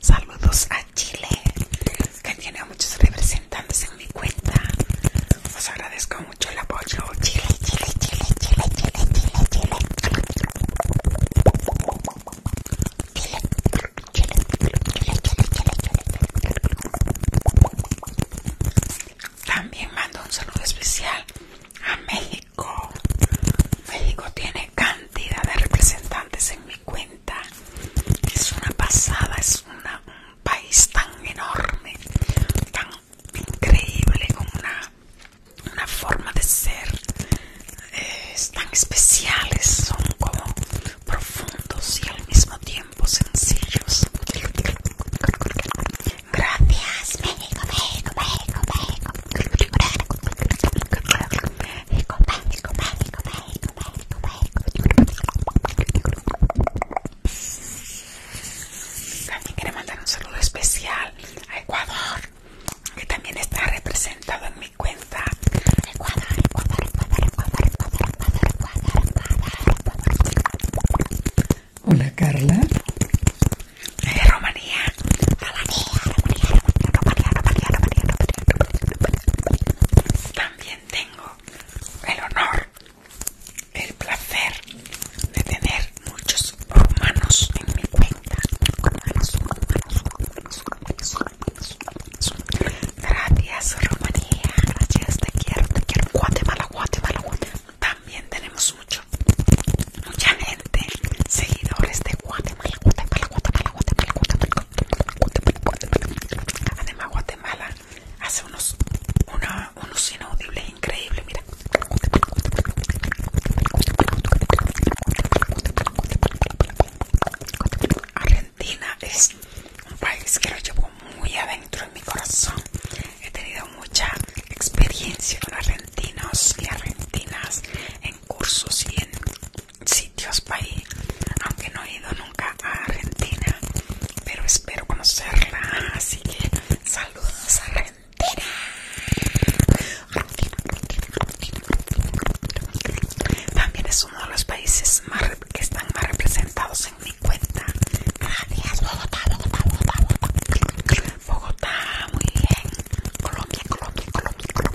Saludos a Chile, que tiene muchos representantes en mi cuenta. Os agradezco mucho el apoyo. Chile, Chile, Chile, Chile, Chile, Chile, Chile. Chile, Chile, Chile, Chile, Chile, Chile. También mando un saludo especial a México. México tiene cantidad de representantes en mi cuenta es una pasada es una, un país tan enorme tan increíble con una, una forma de ser eh, tan especiales son como profundos y al mismo tiempo sencillos gracias México México México México México México México México México también quiero mandar un saludo especial a Ecuador, que también está representado en mi cuenta. Ecuador, Ecuador, Ecuador, Ecuador, Ecuador, Ecuador,
Ecuador, Ecuador, Ecuador. Hola Carla. De eh, Rumanía. Rumanía, Rumanía, Rumanía, Rumanía, Rumanía, Rumanía,
Rumanía, también tengo el honor, el placer de tener muchos romanos en mi cuenta. Gracias Rumanía, gracias, te quiero, te quiero. Guatemala, Guatemala, Guatemala. También tenemos mucho, mucha gente, seguidores de Guatemala, Guatemala, Guatemala, Guatemala, Guatemala. Además, Guatemala hace unos, unos inaudibles increíbles, mira. Argentina es un país que lo llevo muy adentro en mi corazón. He tenido mucha experiencia con argentinos y argentinas en cursos y en sitios para aunque no he ido nunca a Argentina, pero espero conocerla, así que saludos a Argentina. También es uno de los países más que están más representados en mi cuenta. Gracias, Bogotá, Bogotá, Bogotá, Bogotá. muy bien. Colombia, Colombia, Colombia, Colombia.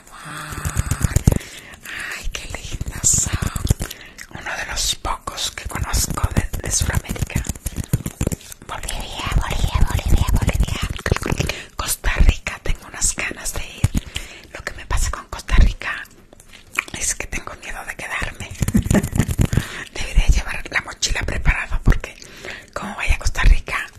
Ay, qué linda. Uno de los pocos que conozco de, Sudamérica. Bolivia, Bolivia, Bolivia, Bolivia. Costa Rica, tengo unas ganas de ir. Lo que me pasa con Costa Rica es que tengo miedo de quedarme. *laughs* Debería llevar la mochila preparada porque como vaya a Costa Rica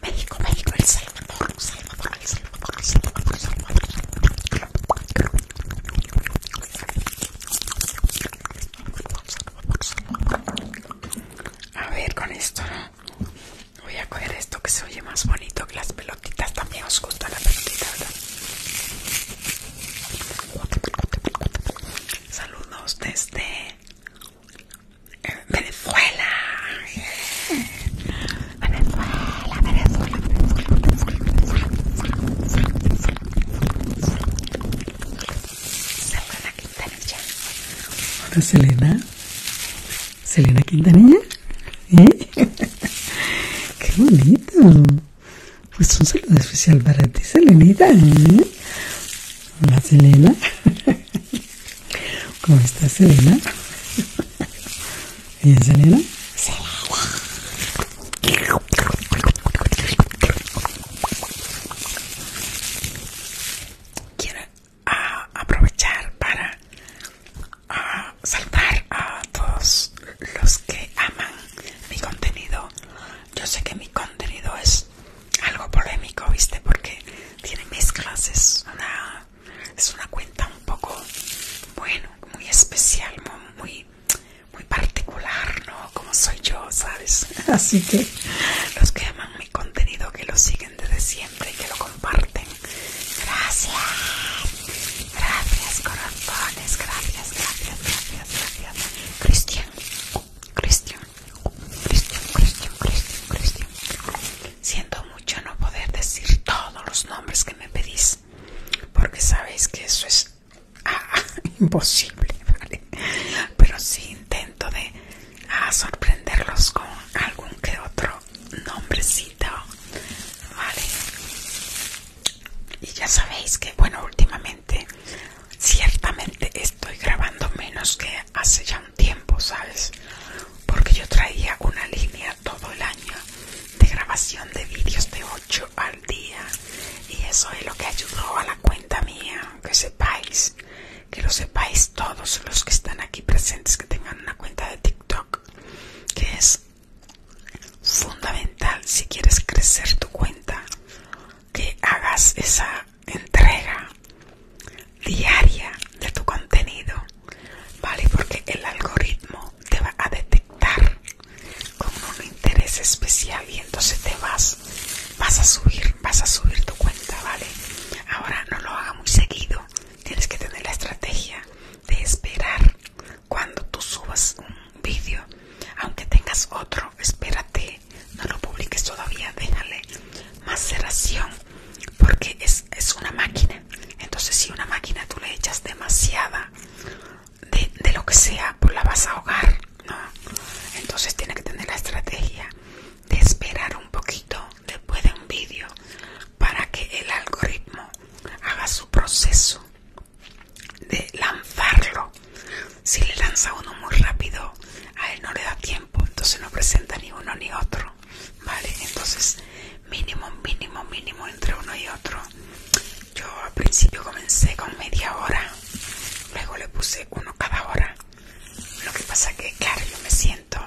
México, México, El Salvador, El El El
El A ver, con esto voy a coger esto que se oye más bonito que las pelotitas. También os gusta la pelotita, ¿verdad? Saludos desde eh, Venezuela. Venezuela, Venezuela, Venezuela,
Selena Hola Selena. Selena Quintanilla. ¿Eh? *laughs* Qué bonito. Pues un saludo especial para ti, Selenita. ¿eh? Hola Selena. *laughs* ¿Cómo estás, Selena? ¿Bien, Selena?
Quiero ah, aprovechar para ah, saltar a todos los que aman mi contenido. Yo sé que mi contenido es algo polémico, ¿viste? Porque tiene mis clases, una es una cuenta un poco, bueno, muy especial, muy, muy particular, ¿no? Como soy yo, ¿sabes? *laughs* Así que los que aman mi contenido, que lo siguen desde siempre y que lo comparten, gracias, gracias corazones, gracias, gracias, gracias, gracias. Cristian, Cristian, Cristian, Cristian, Cristian, Cristian. Siento mucho no poder decir todos los nombres que me pedís, porque sabéis que eso es *laughs*
ah, imposible,
¿vale? Pero sí intento de ah, sorprenderlos con algún que otro nombrecito, ¿vale? Y ya sabéis que, bueno, últimamente, ciertamente estoy grabando menos que hace ya tiempo, ¿sabes? Porque yo traía una línea todo el año de grabación de vídeos de 8 al día. Y eso es lo que ayudó a la cuenta mía, que sepáis, que lo sepáis todos los que están aquí presentes, que tengan una cuenta de TikTok, que es fundamental si quieres crecer tu cuenta, que hagas esa entrega diaria de tu contenido, ¿vale? Porque el algoritmo te va a detectar con un interés especial y entonces te vas, vas a subir, vas a subir tu cuenta, ¿vale? Ahora no lo haga muy seguido, tienes que tener la estrategia de esperar cuando tú subas un vídeo, aunque tengas otro, espérate, no lo publiques todavía, déjale maceración porque es, una máquina entonces si una máquina tú le echas demasiada de, lo que sea pues la vas a ahogar ¿no? entonces tiene que tener la estrategia de esperar un poquito después de un vídeo para que el algoritmo haga su proceso de lanzarlo si le lanza uno muy rápido a él no le da tiempo entonces no presenta ni uno ni otro vale entonces mínimo mínimo mínimo entre uno y otro yo al principio comencé con media hora luego le puse uno cada hora lo que pasa que claro yo me siento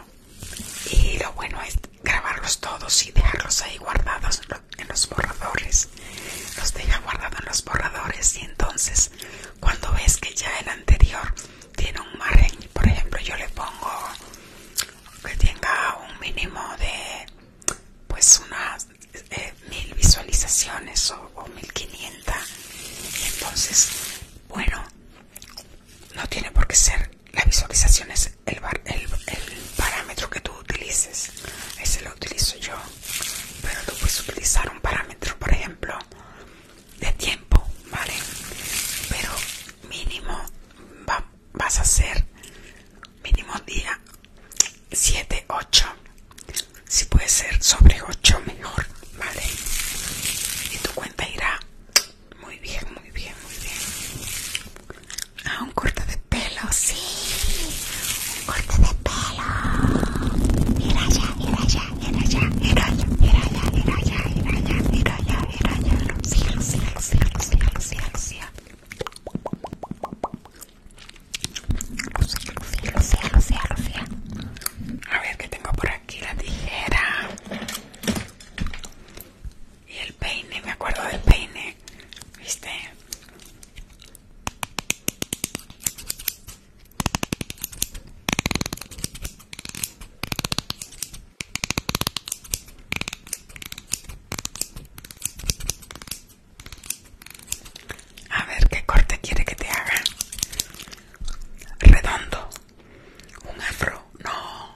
y lo bueno es grabarlos todos y dejarlos ahí guardados en los borradores los deja guardados en los borradores y entonces cuando ves que ya el anterior tiene un margen por ejemplo yo le pongo que tenga un mínimo de pues unas eh, mil visualizaciones o, mil 1500 entonces bueno no tiene por qué ser La visualización el, el, el parámetro que tú utilices ese lo utilizo yo pero tú puedes utilizar un parámetro por ejemplo de tiempo vale pero mínimo vas a hacer mínimo día 7 8 si puede ser sobre 8 mejor vale y tu cuenta irá muy bien muy bien muy bien ah un corte de pelo sí un corte de pelo ya a ver que tengo por aquí la tijera. Y el peine, me acuerdo del peine. ¿Viste? A ver qué corte quiere que te haga. Redondo. Un afro. No.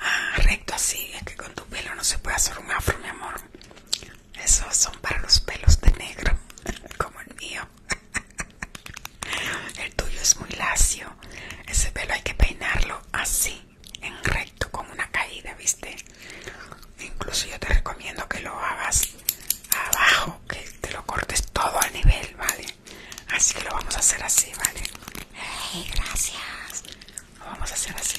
Ah, recto así. Es que con tu pelo no se puede hacer un afro, mi amor. Esos son para los pelos de negro, *laughs* como el mío. *laughs* El tuyo es muy lacio. Ese pelo hay que peinarlo así, en recto, con una caída, ¿viste? Incluso yo te recomiendo que lo hagas abajo, que te lo cortes todo al nivel, ¿vale? Así que lo vamos a hacer así, ¿vale? gracias. Lo vamos a hacer así.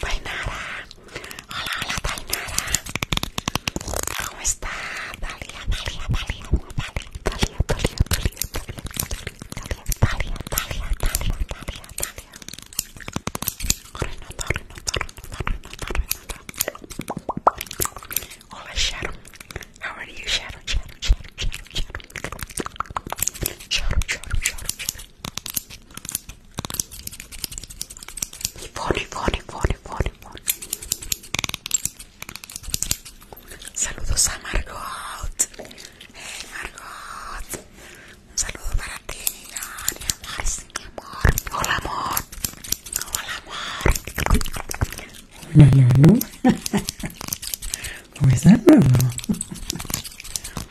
Tainara, hola, hola Tainara, ¿cómo está? Talia,
Hola Sharon, how are you Shadow, Shadow Shadow Shadow Sharon, Sharon, Sharon, Sharon, Ivonne, y Ivonne, y Ivonne. Saludos a Margot. Hey Margot. Un saludo para ti, mi
amor, Hola amor. Hola amor. Hola amor. Hola *laughs* ¿Cómo estás, Lulu?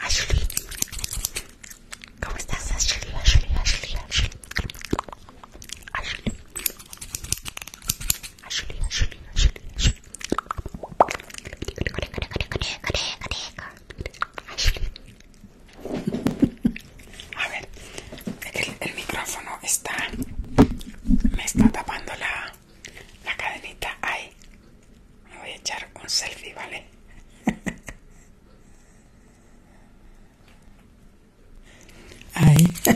Ashley. ¿Cómo estás, Ashley? Ashley, Ashley, Ashley. Ashley. Ashley, Ashley, Ashley, Ashley. Ashley. A ver, el, el micrófono está... Me está tapando la, la cadenita. Ay, me voy a echar un selfie, ¿vale? Ahí. *laughs*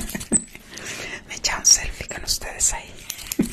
Me he echado un selfie con ustedes ahí. *laughs*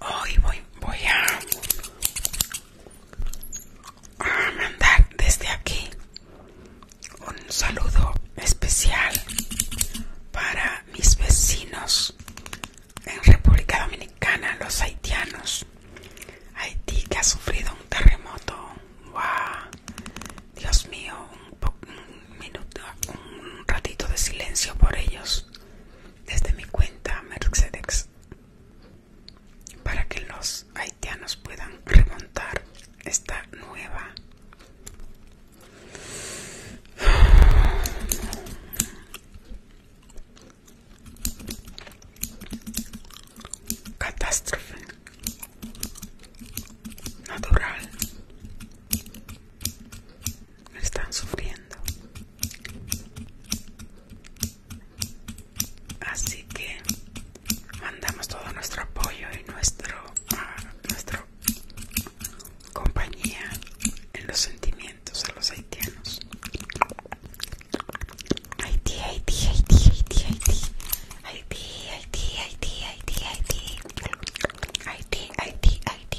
Hoy voy, a, mandar desde aquí un saludo especial para mis vecinos en República Dominicana, los haitianos. Haití que ha sufrido un terremoto. Dios mío, un, un un ratito de silencio por ellos desde mi cuenta Mercedes para que los haitianos puedan remontar esta nueva catástrofe natural están sufriendo así que mandamos todo nuestro apoyo y nuestro ah, compañía en los sentimientos a los haitianos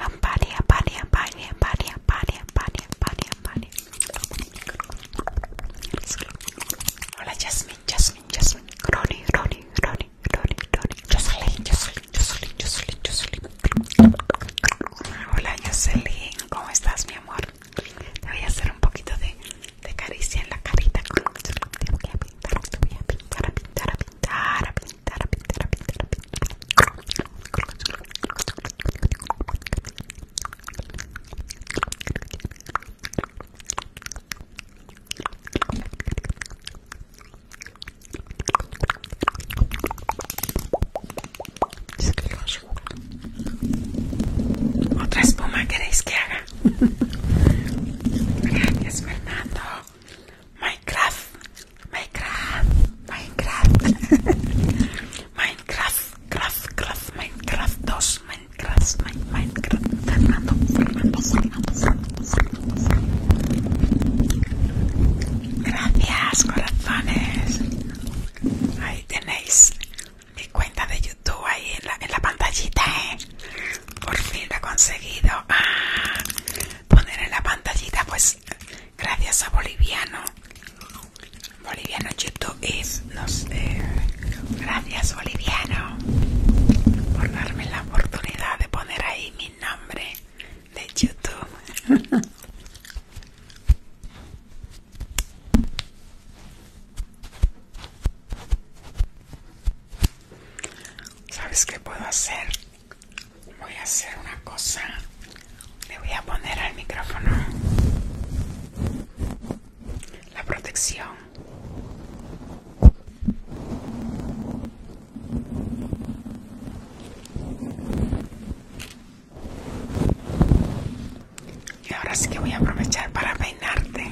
Amparia, amparia, amparia, amparia, amparia, amparia, amparia, amparia. Hola Jasmine, Jasmine, Jasmine. Ronnie, Ronnie, Ronnie, Ronnie, Ronnie. Jocelyn, Jocelyn, Jocelyn, Jocelyn, Jocelyn. Hola Jocelyn, ¿cómo estás mi amor? Te voy a hacer un poquito de, de caricia en la carita. voy te voy pintar, pintar, pintar, a pintar, a pintar, a pintar, a pintar. Otra espuma queréis que haga. *laughs* Gracias Fernando. Minecraft. Minecraft, Minecraft, *laughs* Minecraft, Craft, Craft, Minecraft 2, Minecraft, Minecraft, Fernando, Fernando, Fernando, Fernando, Gracias, corazones. Ahí tenéis mi cuenta de YouTube ahí en la, en la pantallita, ¿eh? Por fin lo he conseguido. Ah, poner en la pantallita, pues gracias a Boliviano. Boliviano YouTube es no sé. gracias Boliviano por darme la oportunidad de poner ahí mi nombre de YouTube. *laughs* ¿Sabes qué puedo hacer? Voy a hacer una cosa le voy a poner al micrófono la protección. Y ahora sí que voy a aprovechar para peinarte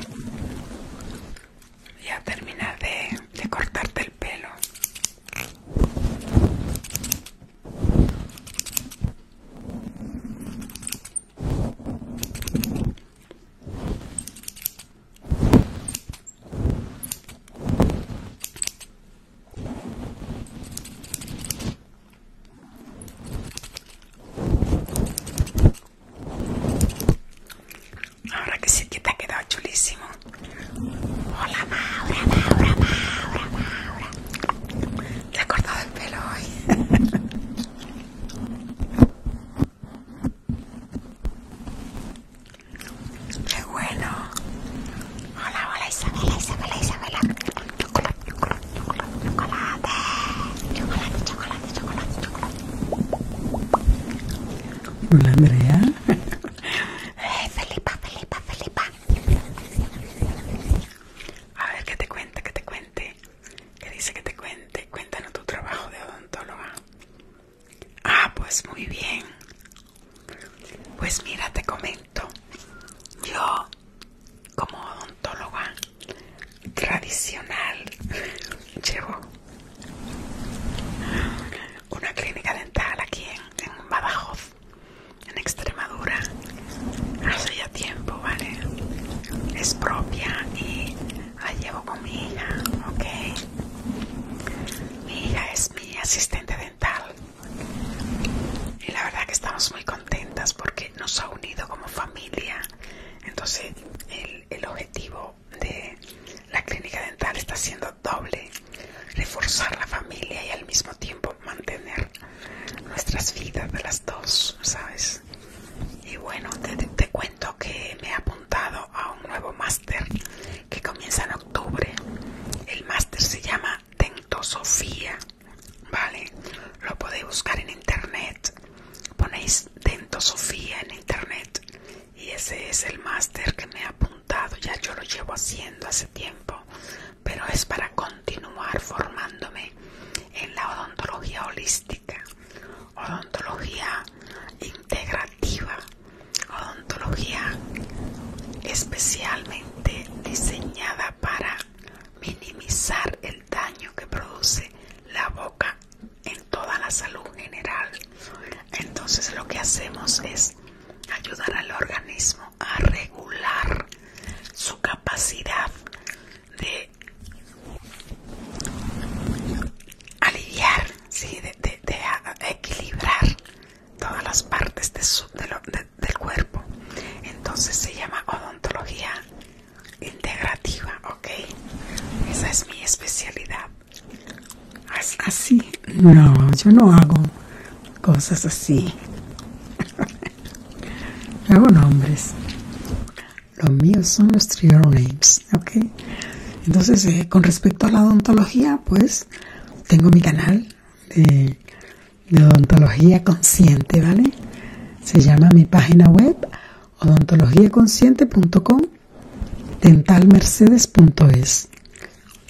y a terminar de, de cortarte el pelo. Ahora que sí que te ha quedado chulísimo. Hola Maura, Maura, Maura, Maura. Te he cortado el pelo hoy. *laughs* Qué bueno. Hola, hola Isabela, Isabela, Isabela. Chocolate, chocolate, chocolate, chocolate. Chocolate,
chocolate, chocolate, chocolate. Hola Andrea. *laughs* Eh, Felipa, Felipa, Felipa. A ver, que te cuenta, que te cuente.
Que dice que te cuente. Cuéntanos tu trabajo de odontóloga. Ah, pues muy bien. Pues mira, te comento. Yo, como odontóloga tradicional, *laughs* llevo una clínica dental aquí en, en Badajoz en Extremadura hace ya tiempo, ¿vale? Es propia y la llevo con mi hija, ¿ok? Mi hija es mi asistente dental y la verdad que estamos muy contentas porque nos ha unido como familia. Entonces el, el objetivo de la clínica dental está siendo doble, reforzar la familia y al mismo tiempo mantener nuestras vidas de las dos, ¿sabes? Y bueno, te, te cuento que me he apuntado a un nuevo máster que comienza en octubre. El máster se llama Dentosofía, ¿vale? Lo podéis buscar en internet. Ponéis Dentosofía en internet y ese es el máster que me he apuntado. Ya yo lo llevo haciendo hace tiempo pero es para continuar formándome en la odontología holística, odontología integrativa, odontología especialmente diseñada para minimizar el daño que produce la boca en toda la salud general. Entonces lo que hacemos es ayudar al organismo a regular su capacidad de aliviar, de, equilibrar todas las partes de su, del cuerpo. Entonces se llama
odontología integrativa, ¿ok? Esa es mi especialidad. Así, no, yo no hago cosas así. *laughs* Luego nombres. Los míos son los trigger names, ¿ok? Entonces, eh, con respecto a la odontología, pues tengo mi canal de, de odontología consciente, ¿vale? Se llama mi página web odontologiaconsciente.com dentalmercedes.es.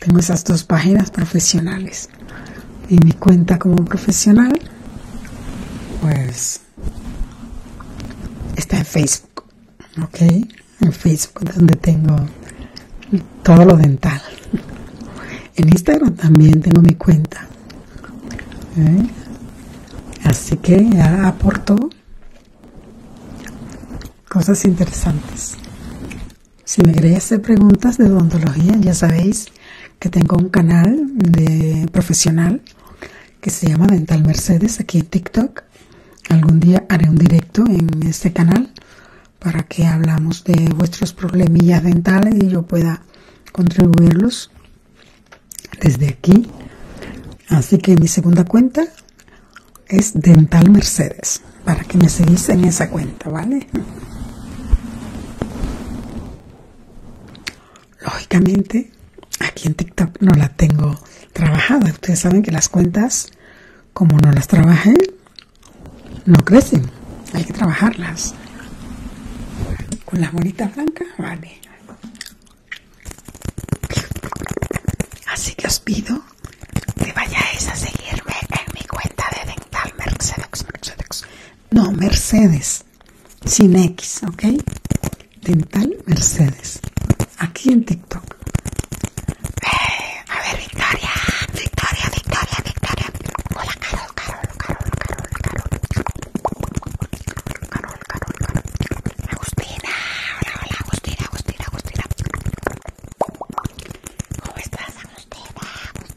Tengo esas dos páginas profesionales. Y mi cuenta como profesional, pues está en Facebook, ¿ok? En Facebook donde tengo todo lo dental. En Instagram también tengo mi cuenta. ¿eh? Así que ya aporto cosas interesantes. Si me queréis hacer preguntas de odontología, ya sabéis, que tengo un canal de profesional que se llama Dental Mercedes aquí en TikTok. Algún día haré un directo en este canal para que hablamos de vuestros problemillas dentales y yo pueda contribuirlos desde aquí. Así que mi segunda cuenta es Dental Mercedes, para que me seguís en esa cuenta, ¿vale? Lógicamente, aquí en TikTok no la tengo trabajada. Ustedes saben que las cuentas, como no las trabajen no crecen. Hay que trabajarlas. Con las bolitas blancas, vale. Así que os pido
que vayáis a seguirme en mi cuenta de Dental Mercedes
no, Mercedes, sin X, ¿ok? Dental Mercedes, aquí en TikTok. Eh, a ver, Victoria, Victoria, Victoria, Victoria. Hola, Carol, Carol, Carol, Carol, Carol. Carol, Carol, Carol. Agustina, hola, hola, Agustina, Agustina, Agustina. ¿Cómo estás, Agustina?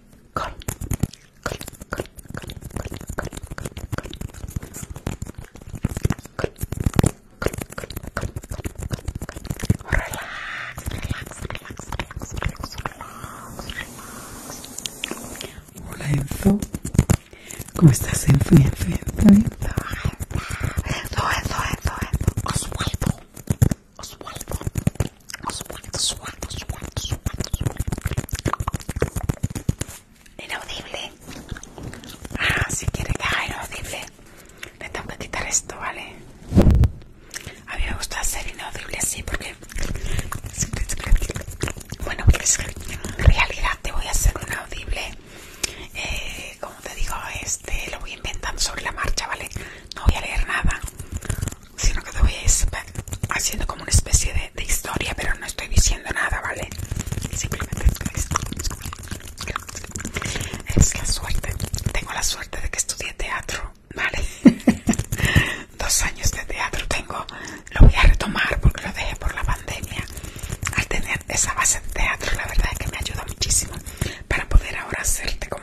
Col,
Relax, relax, relax, relax, relax, relax. Hola ¿cómo estás Enzo? Bien, Oswaldo,
os muerto, os Inaudible. Ah, si quiere que inaudible, le tengo que quitar esto, ¿vale? A mí me gusta hacer inaudible así porque... Bueno, pues, en realidad te voy a hacer un audible. Eh, como te digo, este lo voy inventando sobre la marcha, ¿vale? No voy a leer nada sino que te voy a haciendo como una especie de, historia, pero no estoy diciendo nada, ¿vale? Simplemente es la suerte, tengo la suerte de que estudié teatro, ¿vale? *laughs* Dos años de teatro tengo, lo voy a retomar porque lo dejé por la pandemia. Al tener esa base de teatro, la verdad es que me ayuda muchísimo para poder ahora hacerte como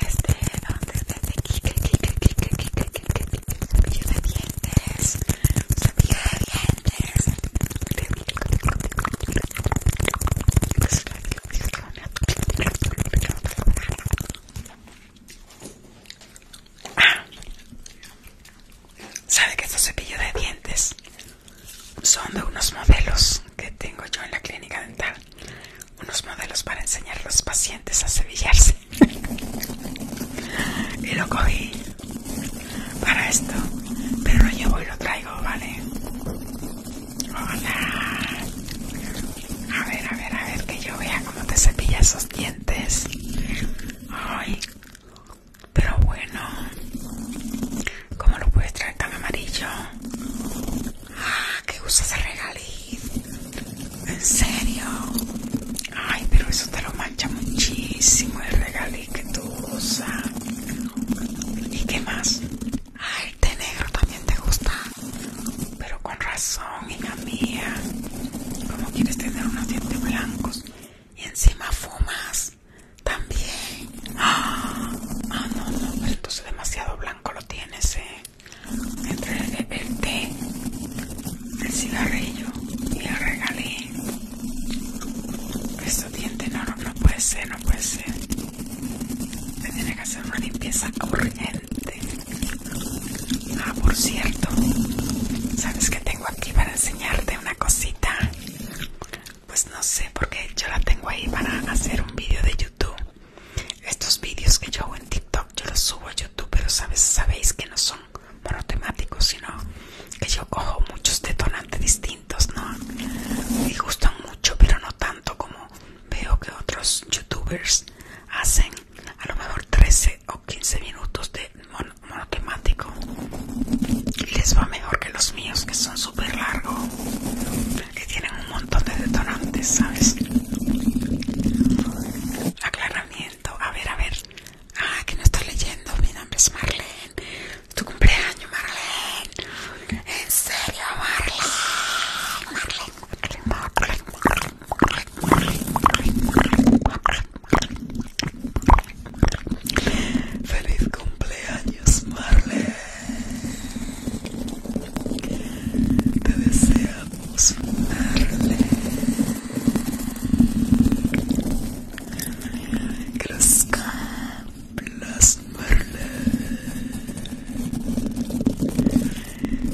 desde donde desde Quique Quique Quique cepillo de dientes, cepillo de dientes. sabe que estos cepillos de dientes son de unos modelos que tengo yo en la clínica dental unos modelos para enseñar a los pacientes a cepillarse *laughs* y lo cogí para esto, pero lo llevo y lo traigo, ¿vale? Hola. A ver, a ver, a ver, que yo vea cómo te cepillas esos dientes. Ay, pero bueno, ¿cómo lo puedes traer tan amarillo? Ah, qué usas el regaliz En serio. Ay, pero eso te lo mancha muchísimo el regaliz que tú usas. ¿Y qué más? Ah, el té negro también te gusta. Pero con razón, hija mía. ¿Cómo quieres tener unos dientes blancos? Y encima fumas. También. Ah, ah no, no, entonces demasiado blanco lo tienes, eh entre el, el té, el cigarrillo y el regalé Esto diente no, no, no puede ser, no puede ser. Me tiene que hacer una limpieza urgente. Ah, por cierto, ¿sabes que tengo aquí para enseñarte una cosita? Pues no sé, porque yo la tengo ahí para hacer un vídeo de YouTube. Estos vídeos que yo hago en TikTok yo los subo a YouTube, pero sabes, sabéis que no son monotemáticos, sino que yo cojo muchos detonantes distintos, ¿no? Me gustan mucho, pero no tanto como veo que otros youtubers hacen a lo mejor 13 o 15 minutos de monotemático y les va mejor que los míos que son súper largos que tienen un montón de detonantes, ¿sabes? Aclaramiento. A ver, a ver. Ah, que no estoy leyendo. Mi nombre es Marlene. Tu cumpleaños, Marlene. En serio, Marlene. Marlene, Marlene, Marlene, Marlene, Marlene. Feliz cumpleaños,
Marlene. Te deseamos una que los cumplas Marlene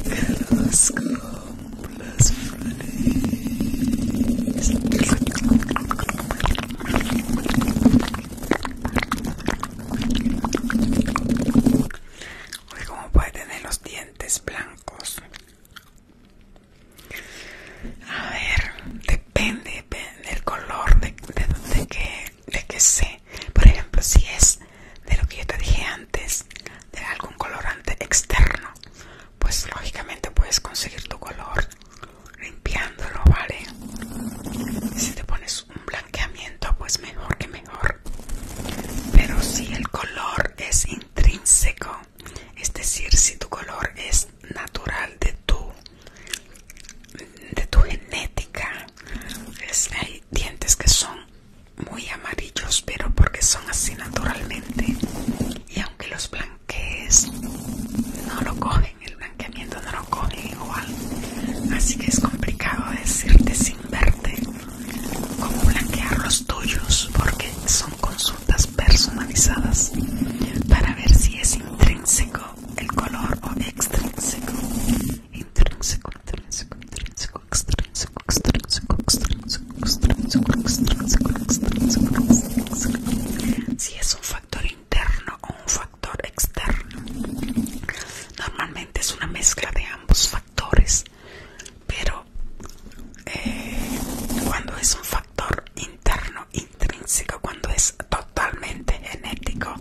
que los cumplas feliz
Oye, cómo puede tener los dientes blancos. A ver, depende, del color de, de, de que de que sé. Por ejemplo, si es de lo que yo te dije antes, de algún colorante externo, pues lógicamente puedes conseguir tu color limpiándolo, ¿vale? Si te pones un blanqueamiento, pues mejor que pero si el color es intrínseco es decir si tu color es natural de tu de tu genética pues, hay dientes que son muy amarillos pero porque son así naturalmente y aunque los blanquees no lo cogen el blanqueamiento no lo cogen igual así que es complicado decirte sin verte cómo blanquear los tuyos porque son consultas personalizadas para ver si es intrínseco el color o extrínseco intrínseco, intrínseco, intrínseco, extrínseco, extrínseco, extrínseco, extrínseco, extrínseco, extrínseco, si es un factor interno o un factor externo normalmente es una mezcla de ambos factores pero eh, cuando es un factor interno, intrínseco, cuando es totalmente genético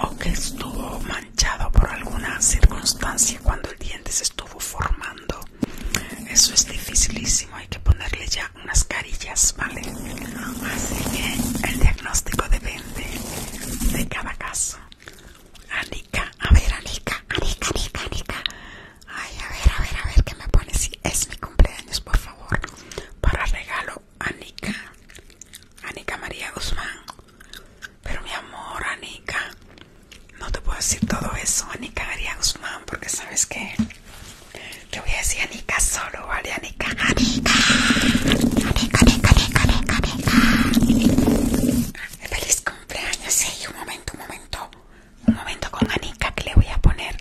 o que estuvo manchado por alguna circunstancia cuando el diente se estuvo formando. Eso es dificilísimo, hay que ponerle ya unas carillas, ¿vale? Así que el diagnóstico depende de cada caso. Anica, a ver, Anica, Anica, Anica, Anica. Ay, a ver, a ver, a ver, ¿qué me pone? Si es mi cumpleaños, por favor. Para regalo, Anica. Anica María Guzmán. Pero mi amor, Anica. No te puedo decir todo eso, Anica María Guzmán, porque sabes que te voy a decir Anica solo, ¿vale? Anica, Anica, Anica, Anica, Anica, Anica, felicito cumpleaños, sí, un momento, un momento, un momento con Anika que le voy a poner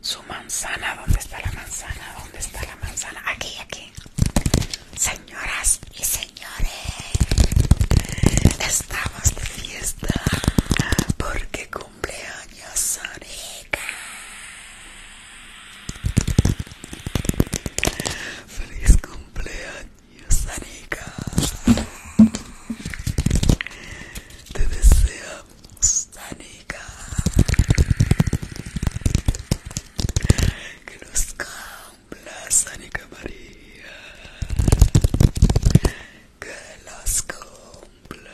su manzana, ¿dónde está la manzana? ¿Dónde está la manzana? Aquí, aquí. Señoras y señores, estamos de fiesta porque cumpleaños Anika. ¡Feliz cumpleaños! Yo Rica. Te deseo Sánica, Que nos cumplas, Sánica María. Que los cumplas.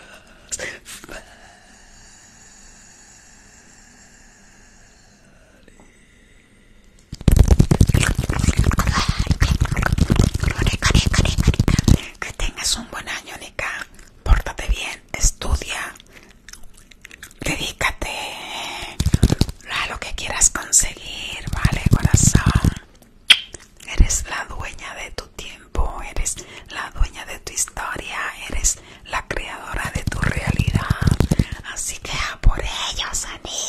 Que tengas un buen año, Nika. Pórtate bien, estudia, dedícate a lo que quieras conseguir, ¿vale, corazón? Eres la dueña de tu tiempo, eres la dueña de tu historia, eres la creadora de tu realidad. Así que a por ellos, Anika.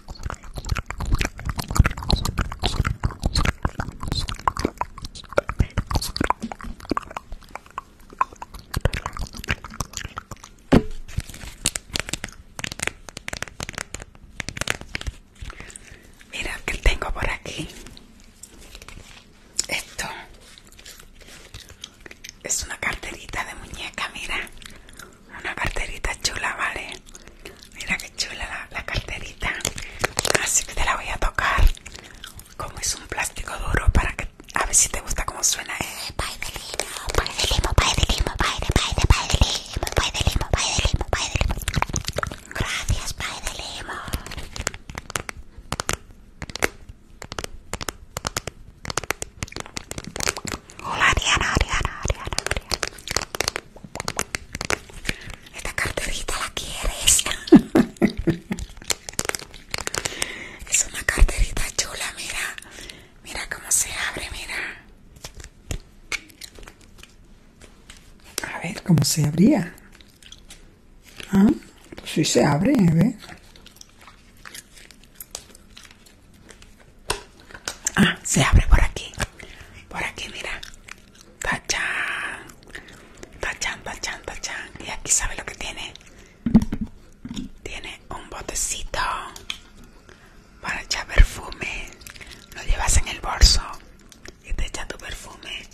Mira que tengo por aquí. Esto es una carterita de muñeca, mira. Una carterita chula, ¿vale? Mira qué chula la, carterita. Así que te la voy a tocar. Como es un plástico duro para que a ver si te gusta cómo suena. Eh, de limo, pay de limo, pay de limo, pay de, pay de, limo, pay de limo, pay de limo, pay de limo. Gracias, pai de limo. Hola, Ariana, Ariana, Ariana, Ariana. Esta carterita la quieres. *laughs* es una carterita chula,
mira. Mira cómo se abre, mira. A ver cómo se abría. Ah, pues sí se abre, a ¿eh? Ah, se abre por aquí. Por aquí, mira.
Tachán Tachán, tachán, tachán Y aquí sabe lo que tiene. Tiene un botecito para echar perfume. Lo llevas en el bolso y te echa tu perfume.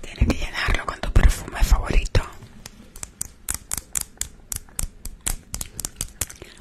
Tienes que llenarlo con tu perfume favorito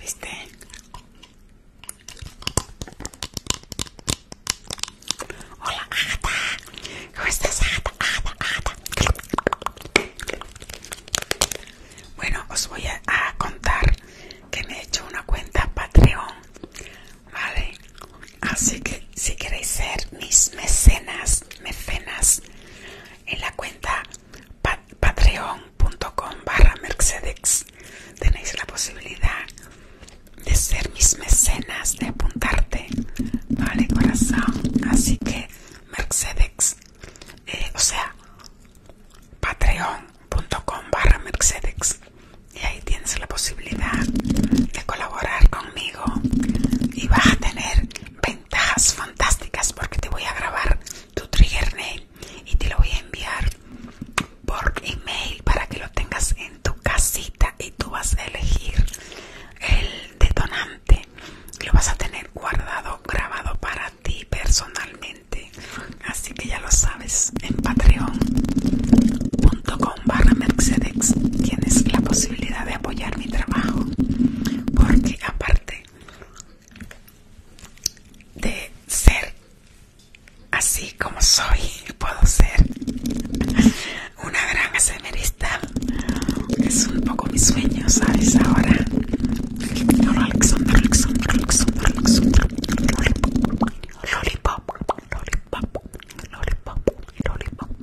¿Viste? Hola, ¿Cómo estás, Bueno, os voy a contar que me he hecho una cuenta Patreon, ¿vale? Así ah, que si queréis ser mis mecenas, mecenas, en la cuenta patreon.com barra mercedex tenéis la posibilidad de ser mis mecenas, de apuntarte, vale corazón. Así que mercedex, eh, o sea, patreon.com barra mercedex y ahí tienes la posibilidad de colaborar conmigo y vas a tener ventajas fantásticas porque te voy a grabar tu trigger nail y te lo voy a enviar por email para que lo tengas en tu casita y tú vas a elegir el detonante lo vas a tener guardado grabado para ti personalmente así que ya lo sabes en patreon.com barra mercedes tienes la posibilidad de apoyar mi trabajo porque aparte de ser así como soy puedo ser una gran asemerista es un poco mi sueño sabes ahora Alexander, Alexander, Alexander, Alexander. Lollipop, lollipop, lollipop,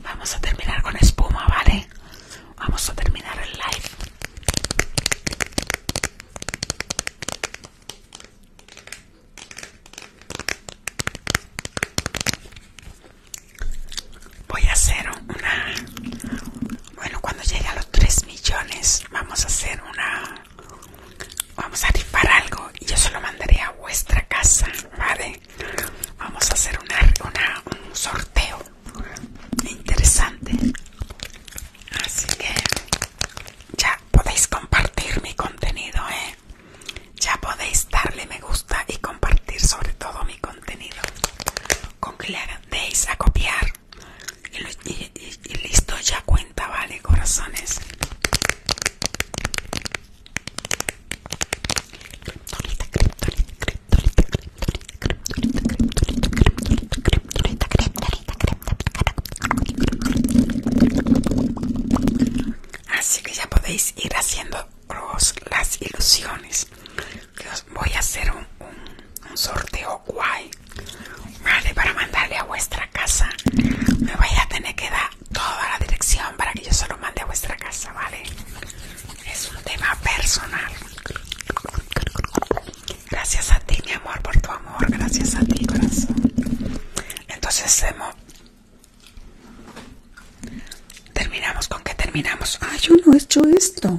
Vamos a terminar con espuma, ¿vale? Vamos a terminar el live. Voy a hacer una... Bueno, cuando llegue a los 3 millones vamos a hacer una... Vamos a rifar algo y yo se lo mandaré a vuestra casa, ¿vale? Vamos a hacer un sorteo interesante. Así que ya podéis compartir mi contenido, ¿eh? Ya podéis darle me gusta y compartir sobre todo mi contenido. Con que le a copiar. y listo, ya cuenta, ¿vale? Corazones. Así que ya podéis ir haciendo las ilusiones. os voy a hacer un, un, sorteo guay. Vale, para mandarle a vuestra casa. Me voy a tener que dar toda la dirección para que yo se lo mande a vuestra casa, ¿vale? Es un tema personal. Gracias a ti, mi amor, por tu amor. Gracias a ti, corazón. Entonces Terminamos con que terminamos. ay, yo no he hecho esto.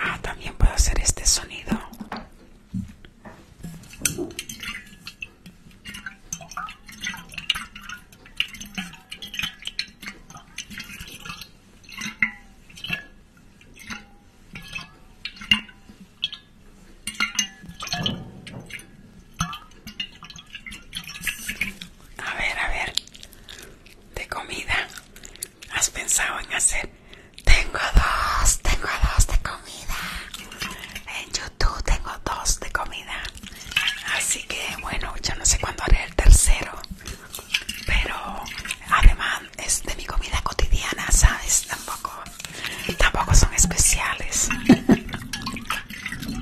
Ah, también puedo hacer este sonido. A ver, a ver de comida has pensado en hacer? Tengo dos, tengo dos de comida. En YouTube tengo dos de comida. Así que bueno, yo no sé cuándo haré el tercero. Pero además es de mi comida cotidiana, ¿sabes? Tampoco, tampoco son especiales.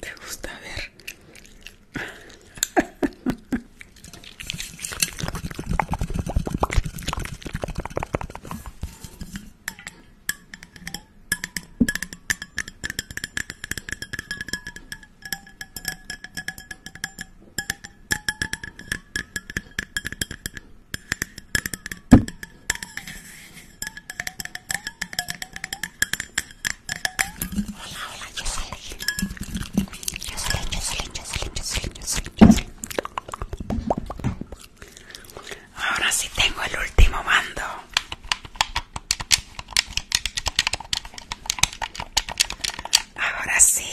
te gusta ver. Hola, hola, yo soy Ahora sí tengo el último mando. Ahora sí.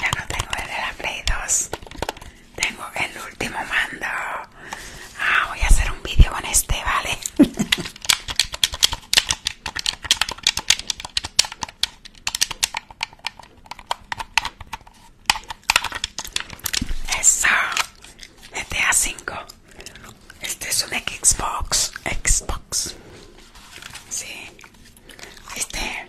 Ya no tengo el de la Play 2. Tengo el último mando. Ah, voy a hacer un vídeo con este, ¿vale? *laughs* Eso. A 5. Este es un Xbox. Xbox. Sí. Este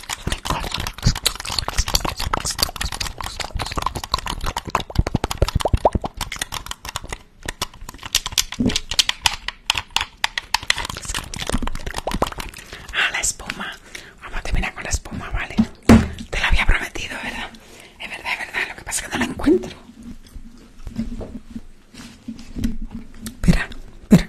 Ah, la espuma. Vamos a terminar con la espuma, vale. Te la había prometido, ¿verdad? Es verdad, es verdad. Lo que pasa es que no la encuentro. Espera, espera.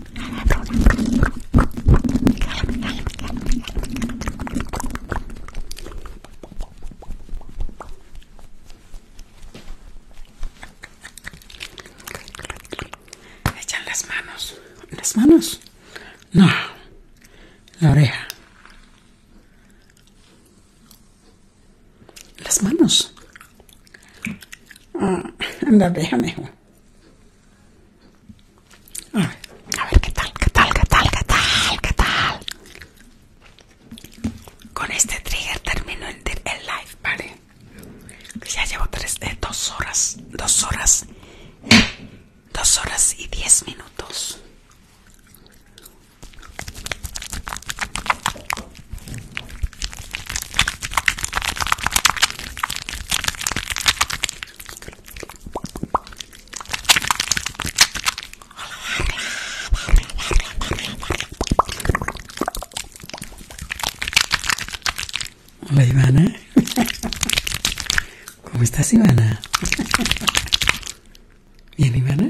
Echan las manos. ¿Las manos? No. La oreja. Las manos. Ah, oreja mejor a ver qué tal, qué
tal, qué tal, qué tal, qué tal. Con este trigger termino el, live, ¿vale? Ya llevo tres, de eh, dos horas, dos horas, dos horas y diez minutos.
Hola Ivana, ¿cómo estás Ivana? Bien Ivana.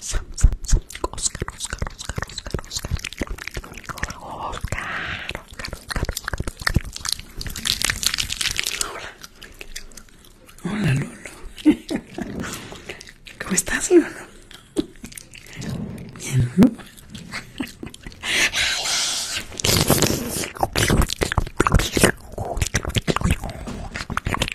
Sam, Sam, Oscar, Oscar,
Hola. Hola, Lolo. *laughs* ¿Cómo estás, Lolo? Bien,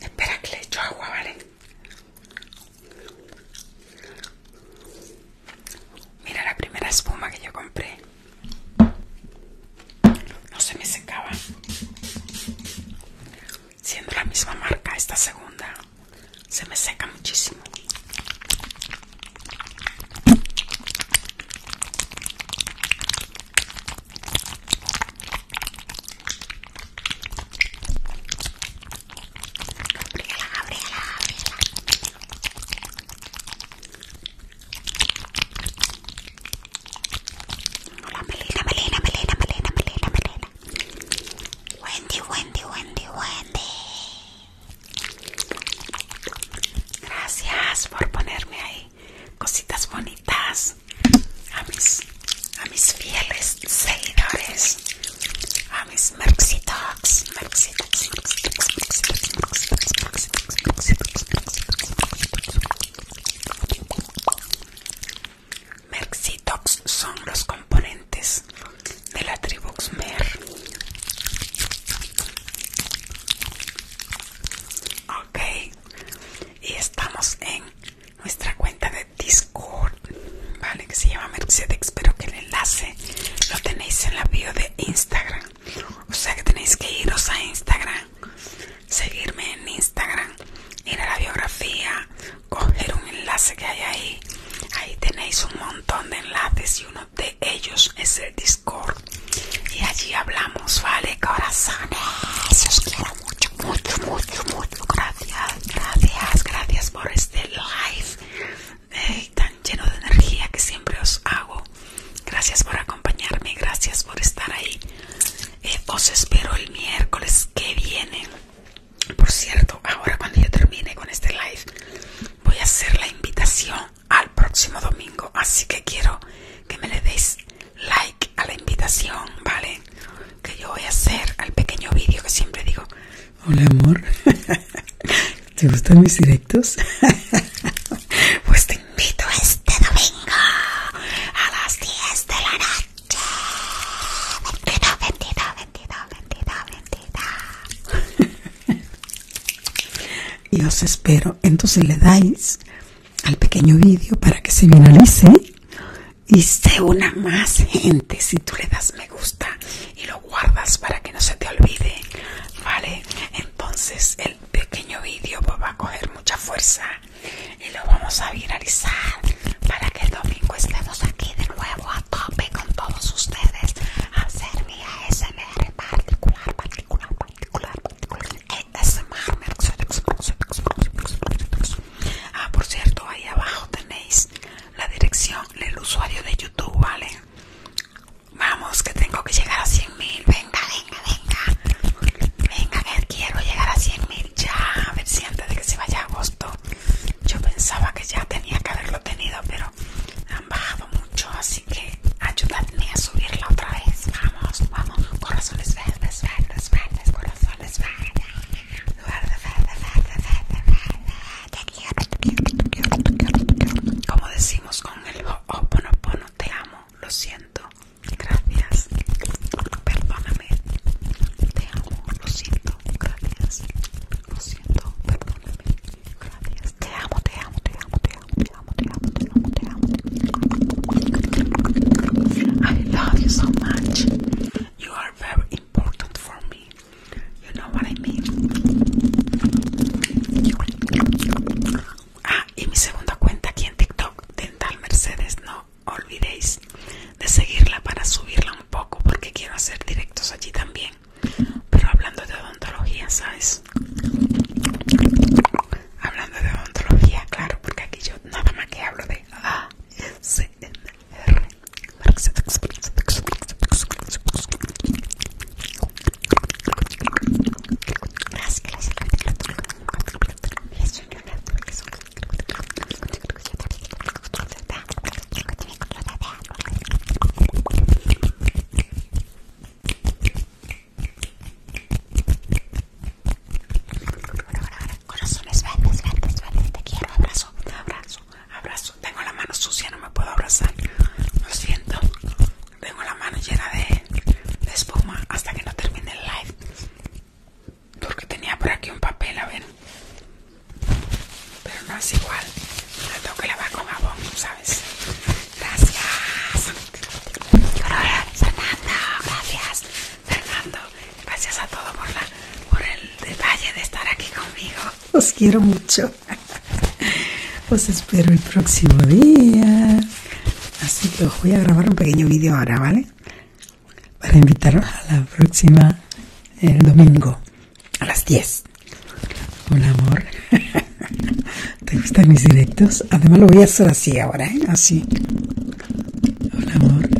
Espera que le echo agua, ¿vale? Mira la primera espuma que yo compré. No se me secaba siendo la misma marca esta segunda se me seca muchísimo Gabriela, Gabriela, Gabriela. Hola Melina, melena Melina, Melina, Melina, Melina. Wendy, Wendy, Wendy, Wendy. Gracias por ponerme ahí cositas bonitas a mis, a mis fieles seguidores, a mis Merxitox son los componentes de la Mer. Ok, y estamos en nuestra cuenta de Discord, ¿vale? Que se llama Merxitex Espero que el enlace lo tenéis en la bio de Instagram. O sea que tenéis que iros a Instagram, seguirme en Instagram, ir a la biografía, coger un enlace que hay ahí ahí tenéis un montón de enlaces y uno de ellos es el discord y allí hablamos vale corazones os quiero mucho mucho mucho mucho gracias gracias gracias por este live eh, tan lleno de energía que siempre os hago gracias por acompañarme gracias por estar ahí eh, os espero el miércoles que viene por cierto, ahora cuando yo termine con este live, voy a hacer la invitación al próximo domingo. Así que quiero que me le des like a la invitación, ¿vale?
Que yo voy a hacer al pequeño vídeo que siempre digo. Hola amor, *laughs* ¿te gustan mis directos? *laughs* pues te invito este domingo a las 10 de la noche y os espero. Entonces le dais al pequeño vídeo para que se finalice y se una más gente. Si tú le das me gusta y lo
guardas para que no se te olvide, ¿vale? Entonces el pequeño vídeo va a coger mucha fuerza y lo vamos a viralizar para que el domingo estemos aquí de nuevo a tope con todos ustedes a hacer mi ASMR particular, particular, particular, particular Ah, por cierto, ahí abajo tenéis la dirección del usuario de YouTube, ¿vale? Vamos, que tengo que llegar a 100 mil. Venga, venga, venga. Venga, que quiero llegar a 100 mil ya. A ver si antes de que se vaya yo pensaba que ya tenía que haberlo tenido, pero han bajado mucho, así que ayúdame a subirla otra vez. Vamos, vamos. Corazones verdes, verdes, verdes, corazones verdes. Como decimos con el Oponopono, te amo, lo siento, gracias, Perdóname te amo, lo siento, gracias, lo siento, perdóname, gracias, te amo, te amo, te amo, te amo, te amo, te amo, te amo, te amo, te amo. I love you so much. You are very important for me. You know what I mean. Ah, y mi segunda cuenta aquí en TikTok, Dental Mercedes, no olvidéis de seguirla para subirla un poco porque quiero hacer directos allí también pero hablando de odontología sabes hablando de odontología claro porque aquí yo nada más que hablo de A abrazo, abrazo, abrazo. Tengo la mano sucia, no me puedo abrazar. Lo siento, tengo la mano llena de espuma hasta que no termine el live porque tenía por aquí un papel, a ver. Pero no es igual. La tengo la lavar con jabón, ¿sabes? Gracias. Fernando, gracias.
Fernando, gracias a todos por, la, por el detalle de estar aquí conmigo. Os quiero mucho. Os espero el próximo día. Así que os voy a grabar un pequeño vídeo ahora, ¿vale? para invitarlos a la próxima el domingo a las 10. Hola amor. *laughs* ¿Te gustan mis directos? Además lo voy a hacer así ahora, ¿eh? Así. Hola amor. *laughs*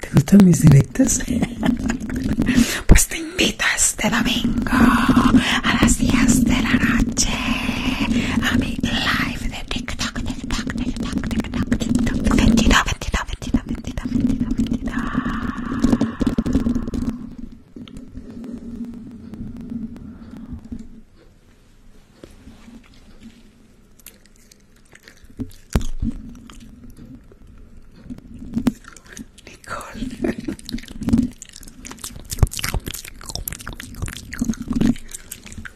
¿Te gustan mis directos?
*laughs* Pues te invito este domingo a las 10 de la noche a mi live de TikTok, TikTok, TikTok, TikTok, TikTok, 22, 22, mentira, mentira, mentira, mentira. Nicole.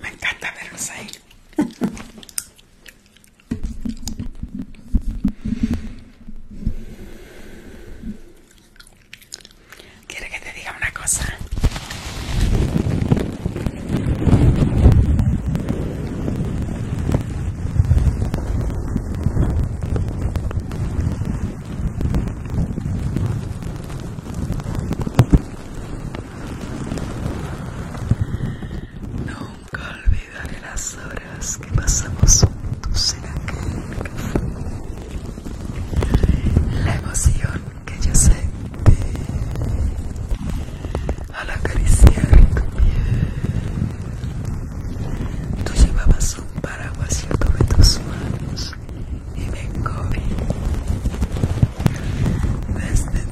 Me encanta verlos ahí.
Quiere que te diga una cosa. No Nunca olvidaré
las horas que pasamos juntos en aquel café. La emoción que yo sentí al acariciar tu piel. Tú llevabas un paraguas, y yo tomé tus manos y me encogí. Desde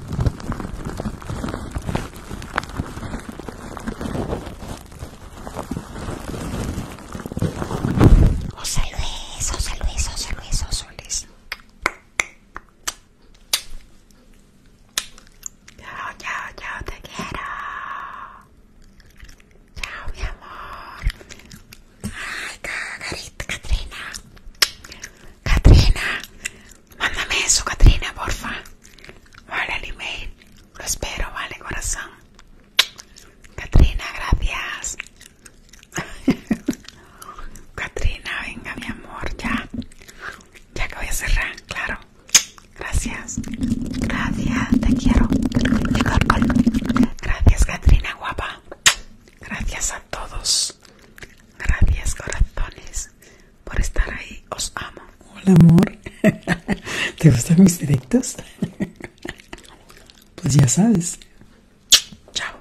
José Luis, José Luis, José Luis, José Luis. Chao, chao, chao, te quiero. Chao, mi amor. Ay, carita, Catrina. Katrina, mándame eso, Katrina, porfa. Vale, el email. Lo espero, vale, corazón. Katrina, gracias. Katrina, *laughs* venga, mi amor, ya. Ya que voy a cerrar, claro. Gracias. Gracias, te quiero. Gracias, Katrina, guapa. Gracias a todos. Gracias corazones
por estar ahí. Os amo. Hola amor. *laughs* ¿Te gustan mis directos? *laughs* Pues ya sabes. Chao.